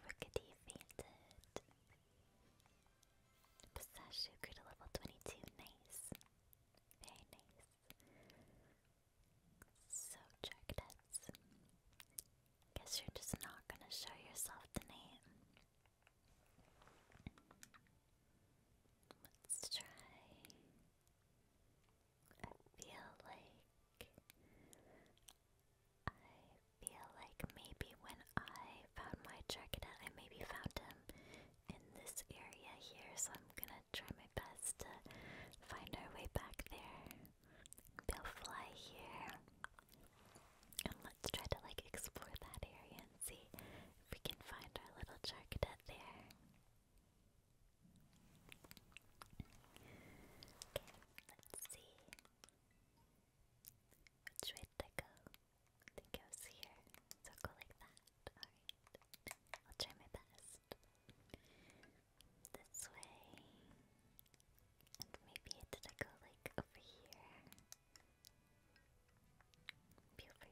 Rookity fainted. Pistachio grew to level 22. Nice. Very nice. So, Jarkadets. Guess you're just not gonna show yourself tonight. Let's try. I feel like I feel like maybe when I found my Dragonite, I maybe found him in this area here, so I'm gonna try my best to find our way back there. They'll fly here and let's try to like explore that area and see if we can find our little Charcadet there. Okay, let's see. Which way did go? I think I was here. So go like that. Alright. I'll try my best. This way. And maybe did like over here? Be over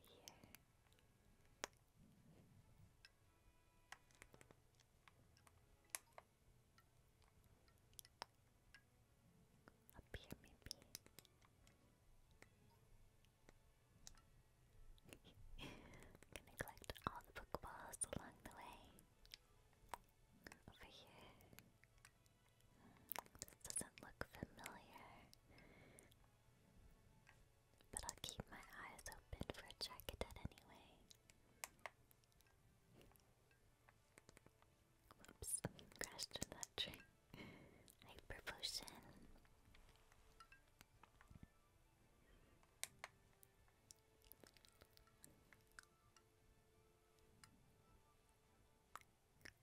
Up here, maybe. gonna collect all the Pokeballs along the way. Over here. This doesn't look familiar. But I'll keep my eyes open for a jacket anyway. Whoops, crashed into that tree. Hyper potion.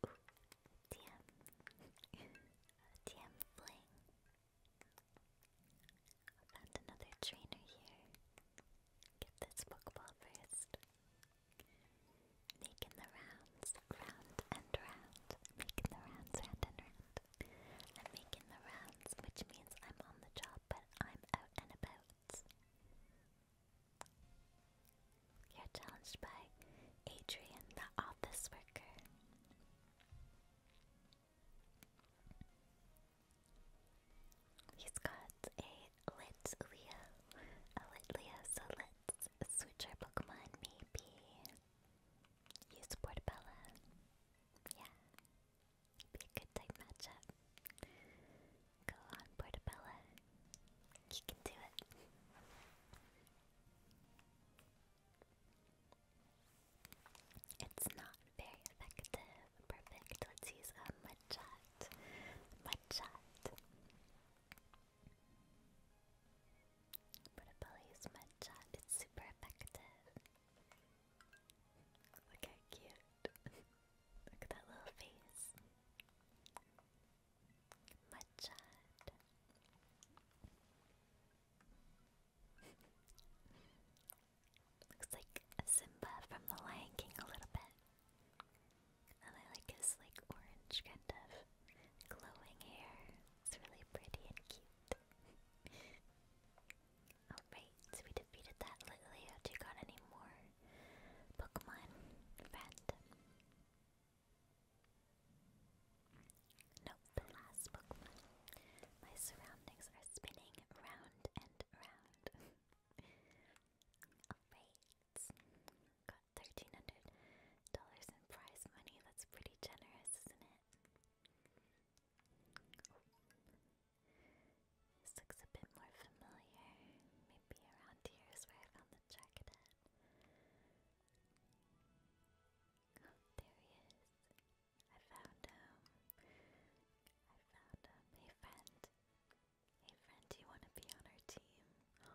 Ooh, TM. Fling. Found another trainer here. Get this Pokeball first. Making the rounds, round and round. Making the rounds, round and round. I'm making the rounds, which means I'm on the job, but I'm out and about. You're challenged by Adrian, the office worker. He's got a lit A lit so let's switch our Pokemon maybe. Use Portabella. Yeah. Be a good type matchup. Go on Portabella. You can do it. It's not very effective. Perfect. Let's use a mudshot. Mudshot. Portabelli's It's super effective. Look how cute. Look at that little face. Machad. Looks like Simba from The Lion King a little bit. And I like his like orange kind of glowing hair. It's really pretty and cute. Alright, so we defeated that Litleo. Do you got any more Pokemon? Friend. Nope, the last Pokemon. My surroundings are spinning round and round. Alright. Got thirteen hundred dollars in prize money. That's pretty generous, isn't it? This looks a bit more familiar. Maybe around here is where I found the jacket there he is. I found him. I found him. Hey, friend. Hey, friend, do you want to be on our team?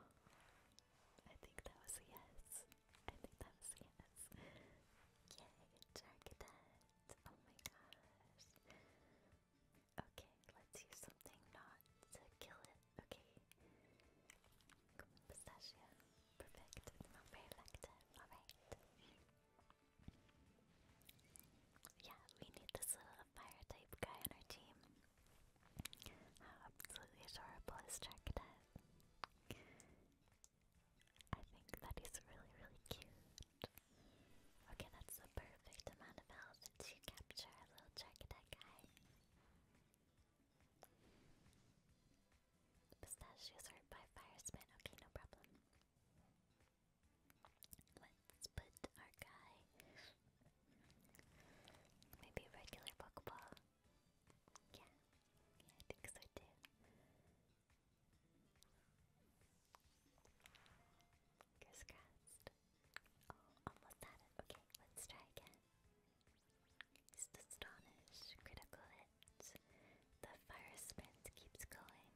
I think that was a yes. I think that was a yes. Yay, Jargadet. Oh my gosh. Okay, let's use something not to kill it Okay. Come on, pistachio. Perfect. It's Yeah, we need this little fire type guy on our team. How absolutely adorable is Dracadet. I think that is really, really cute. Okay, that's the perfect amount of health to capture a little Dracadet guy. Pistachios hurt by fire spin. Okay, no problem. Let's put our guy. Maybe regular Pokeball. Yeah, I think so too. Crisscrossed. Oh, almost had it. Okay, let's try again. Just astonish, critical hit. The fire sprint keeps going.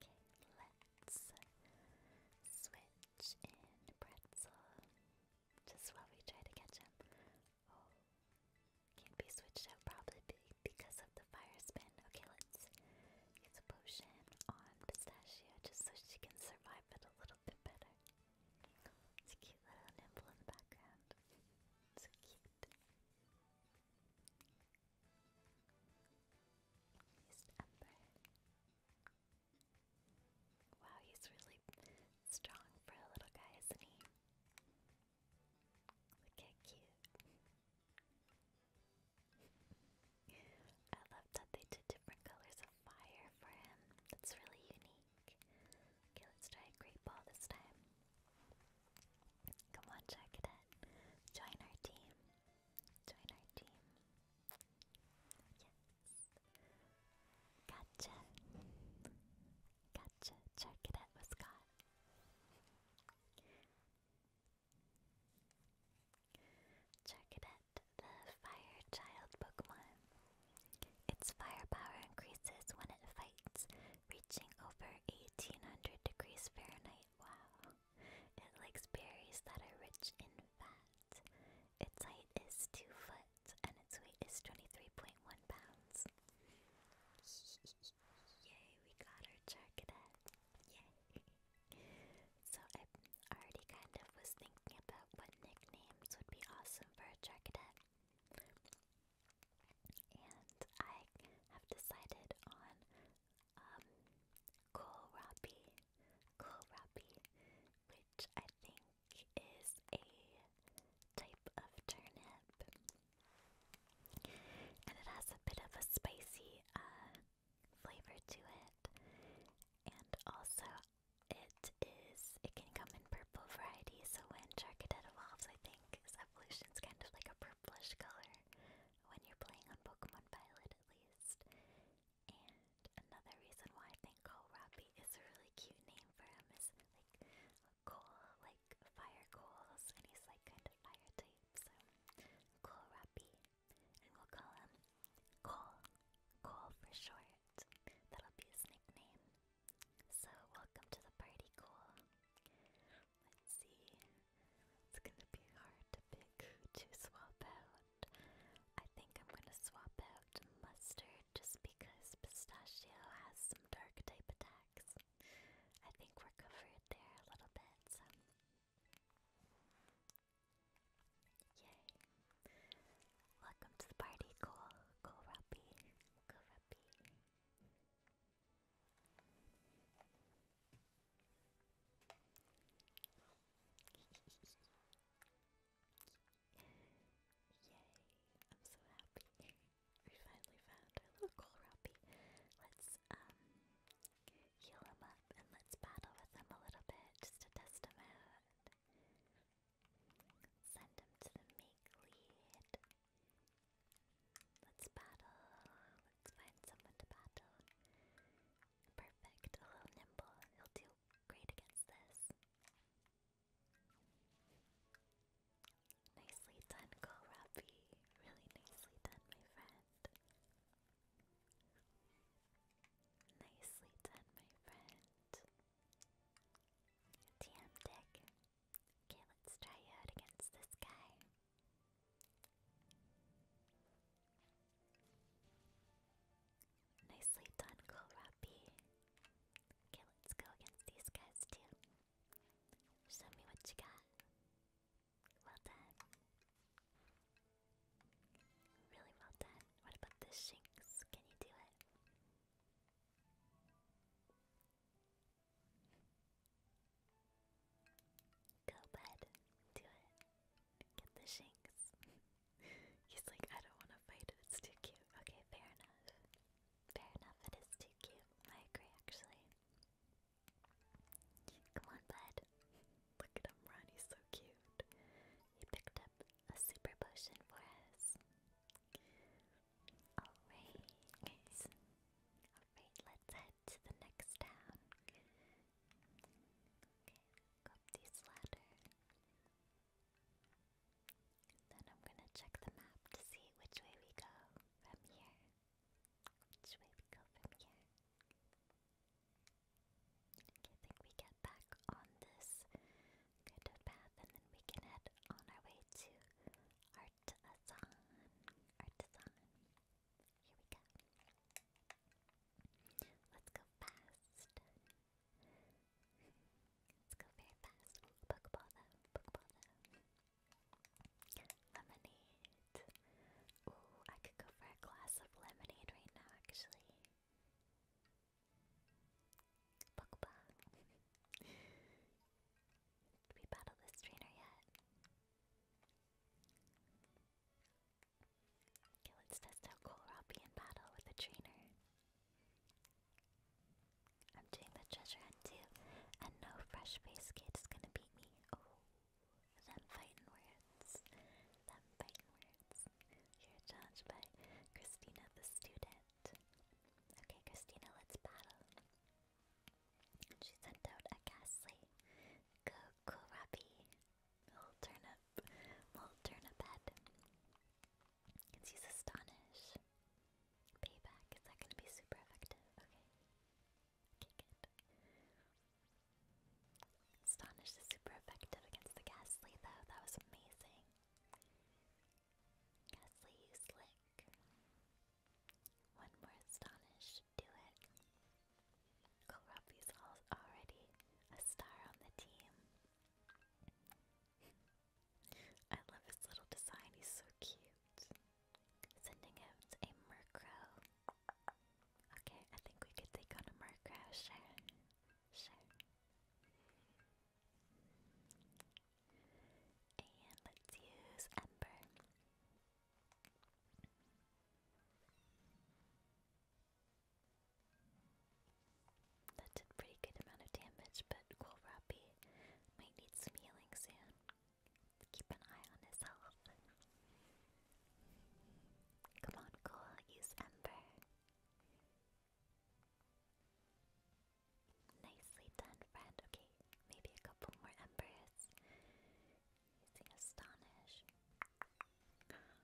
Okay, let's switch in pretzel. Just while we try to catch him. Oh, can't be switched out probably because of the fire spin. Okay, let's use a potion on pistachio just so she can survive it a little it's a cute little nipple in the background. so cute. Wow, he's really strong for a little guy, isn't he? Look how cute. I love that they did different colors fire for him. That's really unique. Okay, let's try a great ball this time. Come on, Jackadet. Join our team. Join our team. Yes. Gotcha. Gotcha. Jackadet was caught. Jackadet get the Fire Child Pokemon. Its firepower increases when it fights, reaching over 1800 degrees Fahrenheit. Wow. It likes berries that are rich in fat. Its height is 2 foot and its weight is 23.1 pounds. Yay, we got our Charcadet. Yay. so already kind of was thinking about what nicknames would be awesome for a Charcadet. And I have decided on um, Kohlrabi, Kohlrabi, which I think is a type of turnip. And it has a bit of a spicy uh, flavor to it. And also, it is. It can come in purple variety. So when Charcadet evolves, I think his evolution's kind of like a purplish color when you're playing on Pokemon Violet, at least. And another reason why I think Kohlrabi is a really cute name for him is like coal, like fire coals, and he's like kind of fire type. So Kohlrabi, and we'll call him Coal, Coal for short. That'll be his nickname. So, welcome to the party, cool. Let's see. It's gonna be hard to pick to swap out. I think I'm gonna swap out Mustard just because Pistachio has some dark type attacks. I think we're covered there a little bit, so. Yay. Welcome to the party, Cole. Cole Ruppy. Cole Ruppy. Yay! I'm so happy. we finally found our little Kohlrabi. Let's um, heal him up and let's battle with him a little bit just to test him out. Send him to the make lead. Let's battle. Let's find someone to battle. Perfect. A little nimble. He'll do great against this. Nicely done, Kohlrabi. Really nicely done, my friend. Nicely done, my friend. TM Dick. Okay, let's try out against this guy. Nicely done, Kohlrabi. Okay, let's go against these guys too. Show me what you got. Well done. Really well done. What about this Shinx? Can you do it? Go bud, do it. Get the shanks. He's like, I don't want to fight it, it's too cute. Okay, fair enough. Fair enough, it is too cute. I agree, actually. Come on, bud. Look at him run, he's so cute. He picked up a super potion for us. Alright. Alright, let's head to the next town. Okay, go up this ladder. Then I'm gonna check the map to see which way we go from here. Which way we go from here. Okay, I think we get back on this Cryptid Path, and then we can head on our way to Artisan. Artisan. Here we go. Let's go fast. Let's go very fast. Ooh, Pokeball though. Pokeball though. Lemonade. Ooh, I could go for a glass of lemonade right now, actually. Pokeball. Did we battle this trainer yet? Okay, let's test out Kohlrabi battle with the trainer. I'm doing the treasure hunt too, and no fresh face kid is gonna beat me. Oh, them fighting words. Them fighting words. You're judged by Christina the student. Okay, Christina, let's battle. She sent out a ghastly Kokurabi. Little turnip. Little turnip head. And she's astonished. Payback, is that gonna be super effective? Okay. Okay, good. Astonish is super effective against the ghastly though, that was amazing. Ghastly, you slick. One more astonish, do it. Kohlrappi's already a star on the team. I love his little design, he's so cute. Sending out a Murkrow. Okay, I think we could take on a Murkrow, sure. Sure. And let's use Ember. That did pretty good amount of damage, but Kohlrabi might need some healing soon. keep an eye on his health. Come on, Cole, use Ember. Nicely done, friend. Okay, maybe a couple more embers. Using astonish. Okay.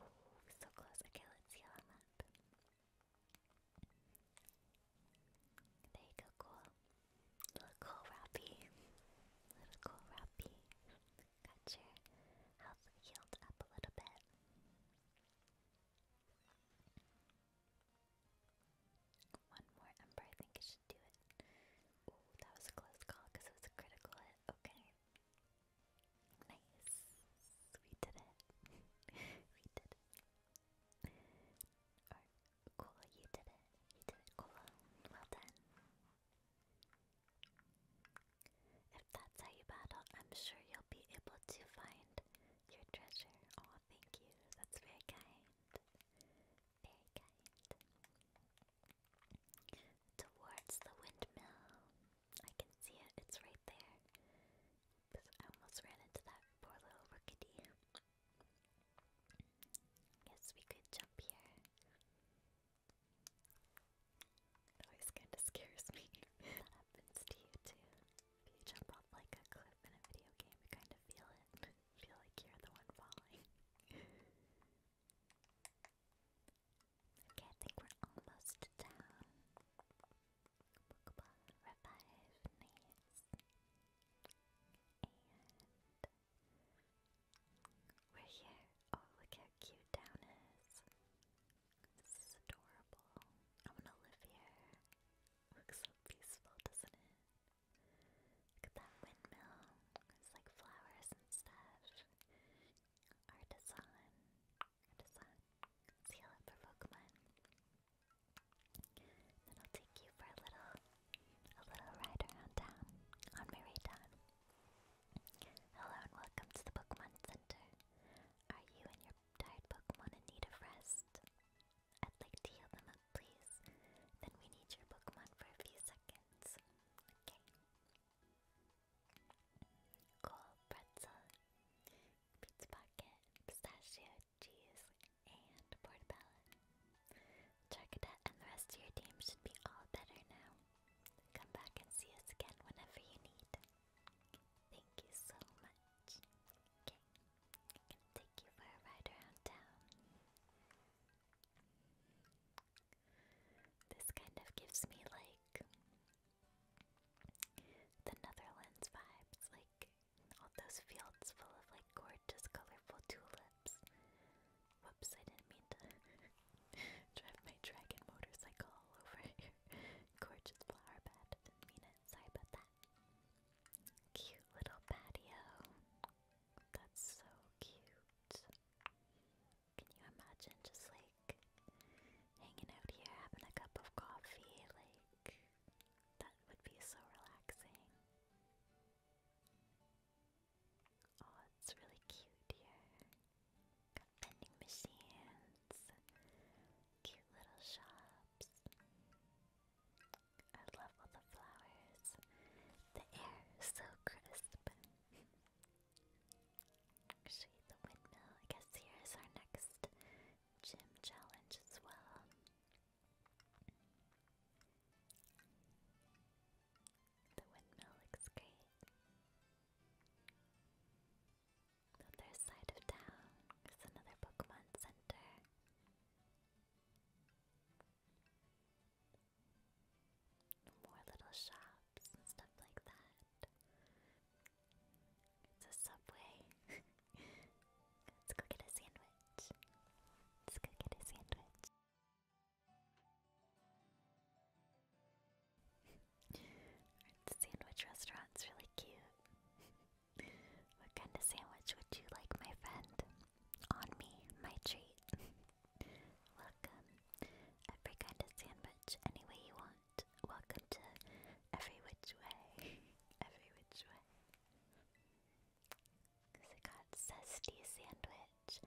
Oh, so close. Okay, let's heal him up. There you go, cool. Little cool Rappy. Little cool Rappy got your health healed up a little bit. One more ember, I think I should do it. Ooh, that was a close call because it was a critical hit. Okay. Nice. We did it. we did it. Or, you did it. You did it, Cola. Well done. If that's how you battle, I'm sure you'll be able to find your treasure. Oh, thank you. That's very kind. Very kind. Towards the windmill. I can see it. It's right there. I almost ran into that poor little rookity. Guess we could jump here. It always kind of scares me. happens to you too. If you jump off like a cliff in a video game, you kind of feel it. feel like you're the one falling. okay, I think we're almost down. Pokeball And we're here. Oh, look how cute down is. This is adorable. I want to live here. Looks so peaceful, doesn't it? Look at that windmill. It's like flowers and stuff. Artisan. Artisan. Let's heal up for Pokemon. Then I'll take you for a little, a little ride around town on my Hello and welcome to the Pokemon Center. Are you and your tired Pokemon in need of rest? I'd like to heal them up, please. Then we need your Pokemon for a few seconds. Okay. Cool pretzel, pizza pocket, pistachio, cheese, and portobello. Charcadet and the rest of your team should be all better now. Come back and see us again whenever you need. Thank you so much. I'm take you for a ride around town. This kind of gives me like the Netherlands vibes, like all those fields full of like gorgeous colorful tulips. Whoops, I didn't mean to Drive my dragon motorcycle all over here. Gorgeous flower bed. Didn't mean it. Sorry about that. Cute little patio. That's so cute. Can you imagine just like hanging out here having a cup of coffee? Like, that would be so relaxing. Oh, it's really cute here. Got vending machines, cute little shops. I love all the flowers. The air is so crisp. Actually, the windmill. I guess here is our next gym challenge as well. The windmill looks great. The other side of town is another Pokemon Center. More little shops and stuff like that. It's a subway. Let's go get a sandwich. Let's go get a sandwich the sandwich restaurant's really cute. what kind of sandwich would you like, my friend? On me, my treat. Welcome. Every kind of sandwich, any way you want. Welcome to Every Which Way. every Which Way. Because got zesty sandwich.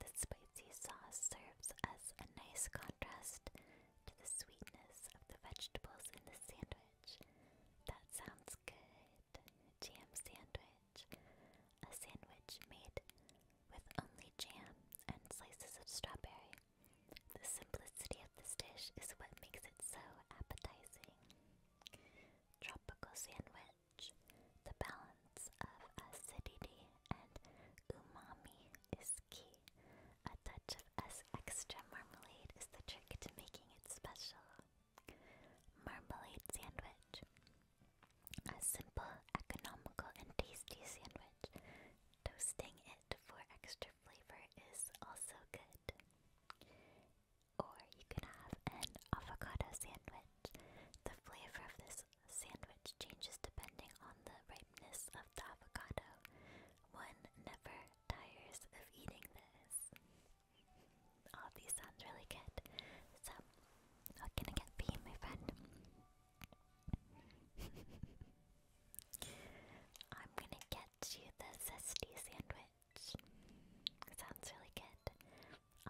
The spicy sauce serves as a nice contrast to the sweetness of the vegetables in the sandwich. That sounds good. Jam sandwich. A sandwich made with only jam and slices of strawberry. The simplicity of this dish is what makes it so appetizing. Tropical sandwich. The balance of acidity and umami is key. A touch of extra marmalade is the trick to making it special. Marmalade sandwich. A simple, economical, and tasty sandwich. Toasting it for extra flavor is also good. Or you can have an avocado sandwich. The flavor of this sandwich changes depending on the the ripeness of the avocado. One never tires of eating this. All oh, these sounds really good. So, what can I get you, my friend? I'm gonna get you the zesty sandwich. Sounds really good.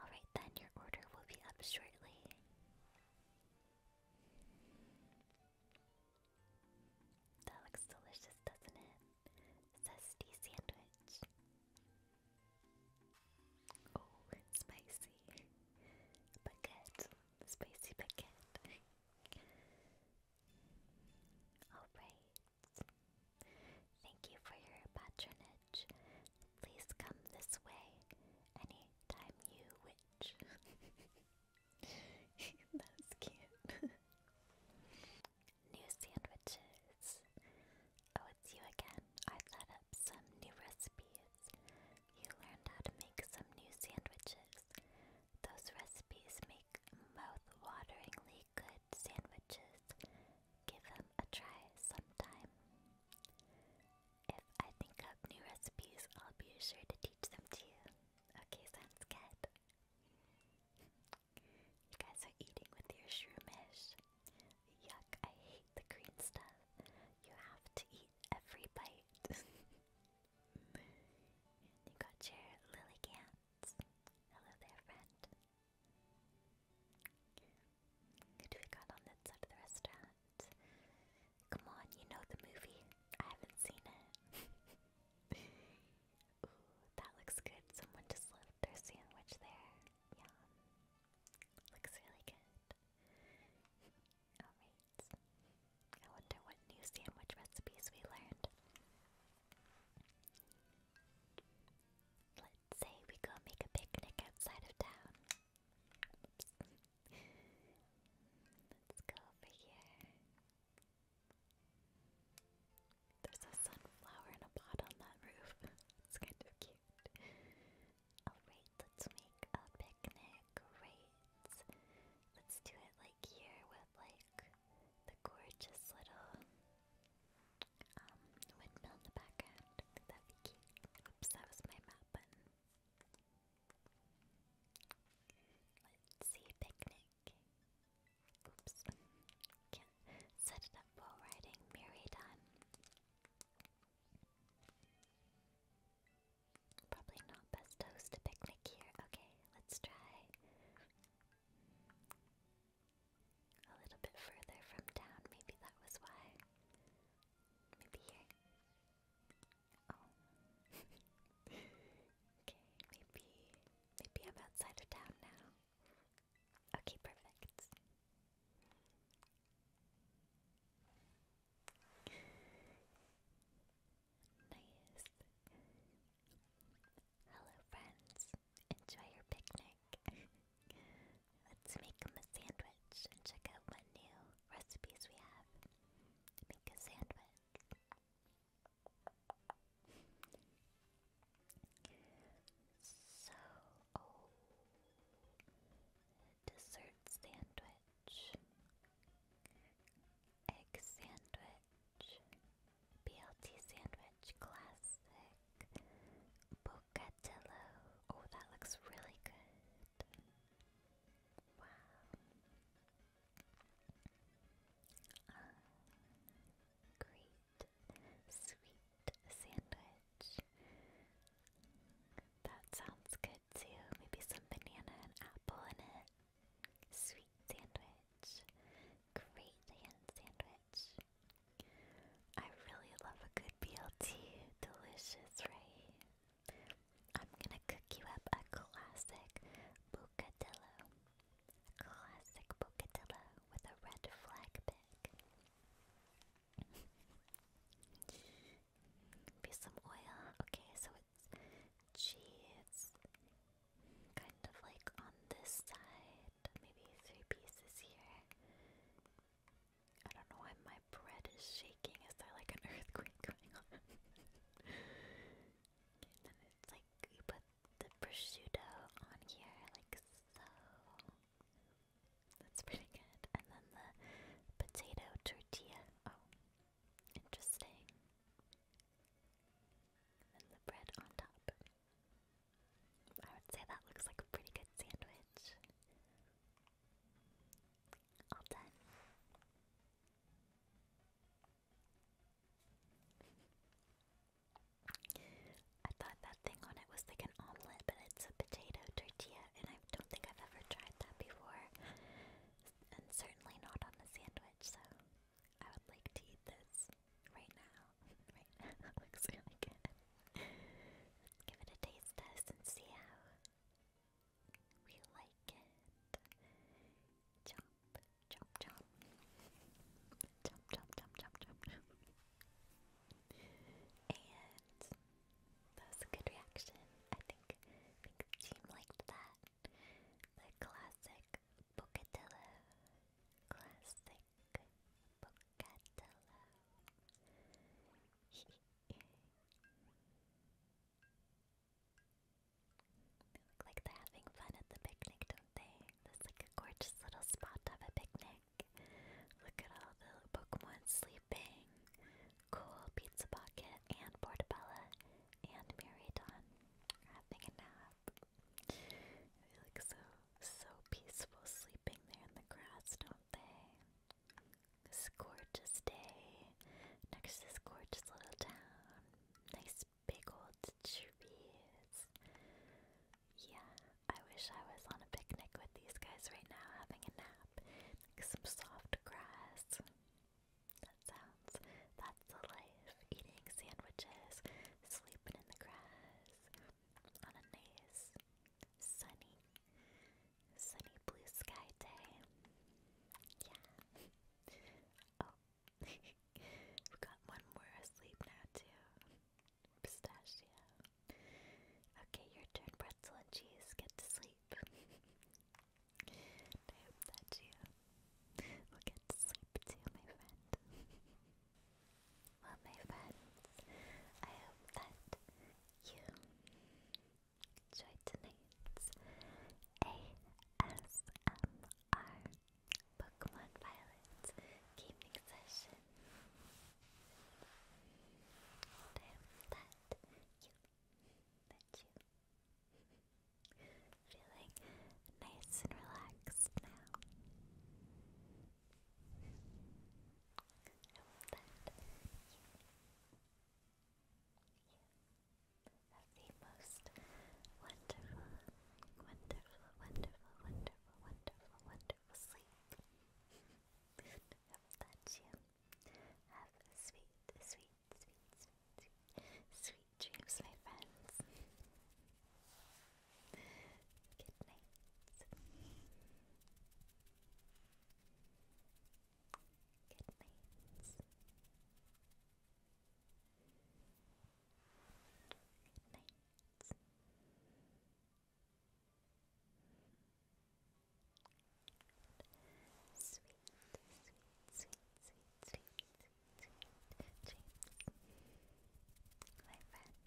Alright then, your order will be up shortly. That looks delicious, doesn't it? Zesty sandwich. Oh, spicy. Baguette. Spicy baguette. Alright. Thank you for your patronage. Please come this way anytime you wish. That's cute. new sandwiches. Oh, it's you again. I set up some new recipes. You learned how to make some new sandwiches. Those recipes make mouth good sandwiches. Give them a try sometime. If I think up new recipes, I'll be sure to teach them to you. Okay, sounds you guys are eating with your shroomish. Yuck, I hate the green stuff. You have to eat every bite. you got your lily cans. Hello there, friend. Who do we got on that side of the restaurant? Come on, you know the movie. I haven't seen it. Ooh, that looks good. Someone just left their sandwich there. Yum. Looks really good. Alright. I wonder what new sandwich recipes we learned. Let's say we go make a picnic outside of town. Let's go over here. There's a sunflower in a pot on that roof. it's kind of cute. Oh, Alright, let's make a picnic. Great. Let's do it like here with like the gorgeous little um, windmill in the background. That'd be cute. Oops, that was my map button. Let's see, picnic. Oops. set up while riding. Merry time. Probably not best to picnic here. Okay, let's try a little bit further from town. Maybe that was why. Maybe here. Oh. okay, maybe maybe I'm outside of town now. Okay, perfect. Nice. Hello friends. Enjoy your picnic. Let's make a sandwich and check out what new recipes we have. Make a sandwich. So, oh, dessert sandwich, egg sandwich, BLT sandwich, classic, bocadillo. Oh, that looks really good. Wow great sweet sandwich. That sounds good too. Maybe some banana and apple in it. Sweet sandwich. Great sandwich. I really love a good BLT. Delicious, right? I'm gonna cook you up a classic bocadillo. classic bocadillo with a red flag pick. Be some oil. Okay, so it's cheese. Kind of like on this side. Maybe three pieces here. I don't know why my bread is shaking. Is there like an earthquake going on? And it's like you put the prosciutto on here, like so. That's pretty good. And then the potato tortilla. Oh, interesting. And the bread on top. I would say that looks like a pretty good sandwich. All done. I thought that thing on it was like an omelette, but it's a potato tortilla, and I don't think I've ever tried that before. And certainly not on a sandwich, so I would like to eat this right now. right now, it looks really good. Let's give it a taste test and see how we like it. Jump, jump, jump. Jump, jump, jump, jump, jump, jump. And that was a good reaction. I think the team liked that. The classic bocadillo. Classic bocadillo. look like they're having fun at the picnic, don't they? That's like a gorgeous little spot to a picnic. Look at all the Pokemon sleeping. Cool Pizza Pocket and Portobello and Miridon are having a nap. They look so, so peaceful sleeping there in the grass, don't they? This gorgeous day next to this gorgeous little town nice big old trees. Yeah, I wish I was on a picnic with these guys right now having a nap. some soft grass. That sounds, that's the life. Eating sandwiches, sleeping in the grass, on a nice, sunny, sunny blue sky day. Yeah. Oh, we've got one more asleep now too. Pistachio. Okay, your turn, pretzel and cheese. Get to sleep. I hope that you will get to sleep too, my friend. well, my friends, I hope that you Enjoy tonight's ASMR Pokemon Violet gaming session. I hope that you, that you, feeling nice and relaxed now. I hope that you, you, of the most wonderful, wonderful, wonderful, wonderful, wonderful, wonderful sleep. Hope that you have sweet, sweet, sweet, sweet, sweet dreams, my friends. Good night. Good night. Good night. sweet, sweet, sweet, sweet, sweet, sweet dreams, my friends.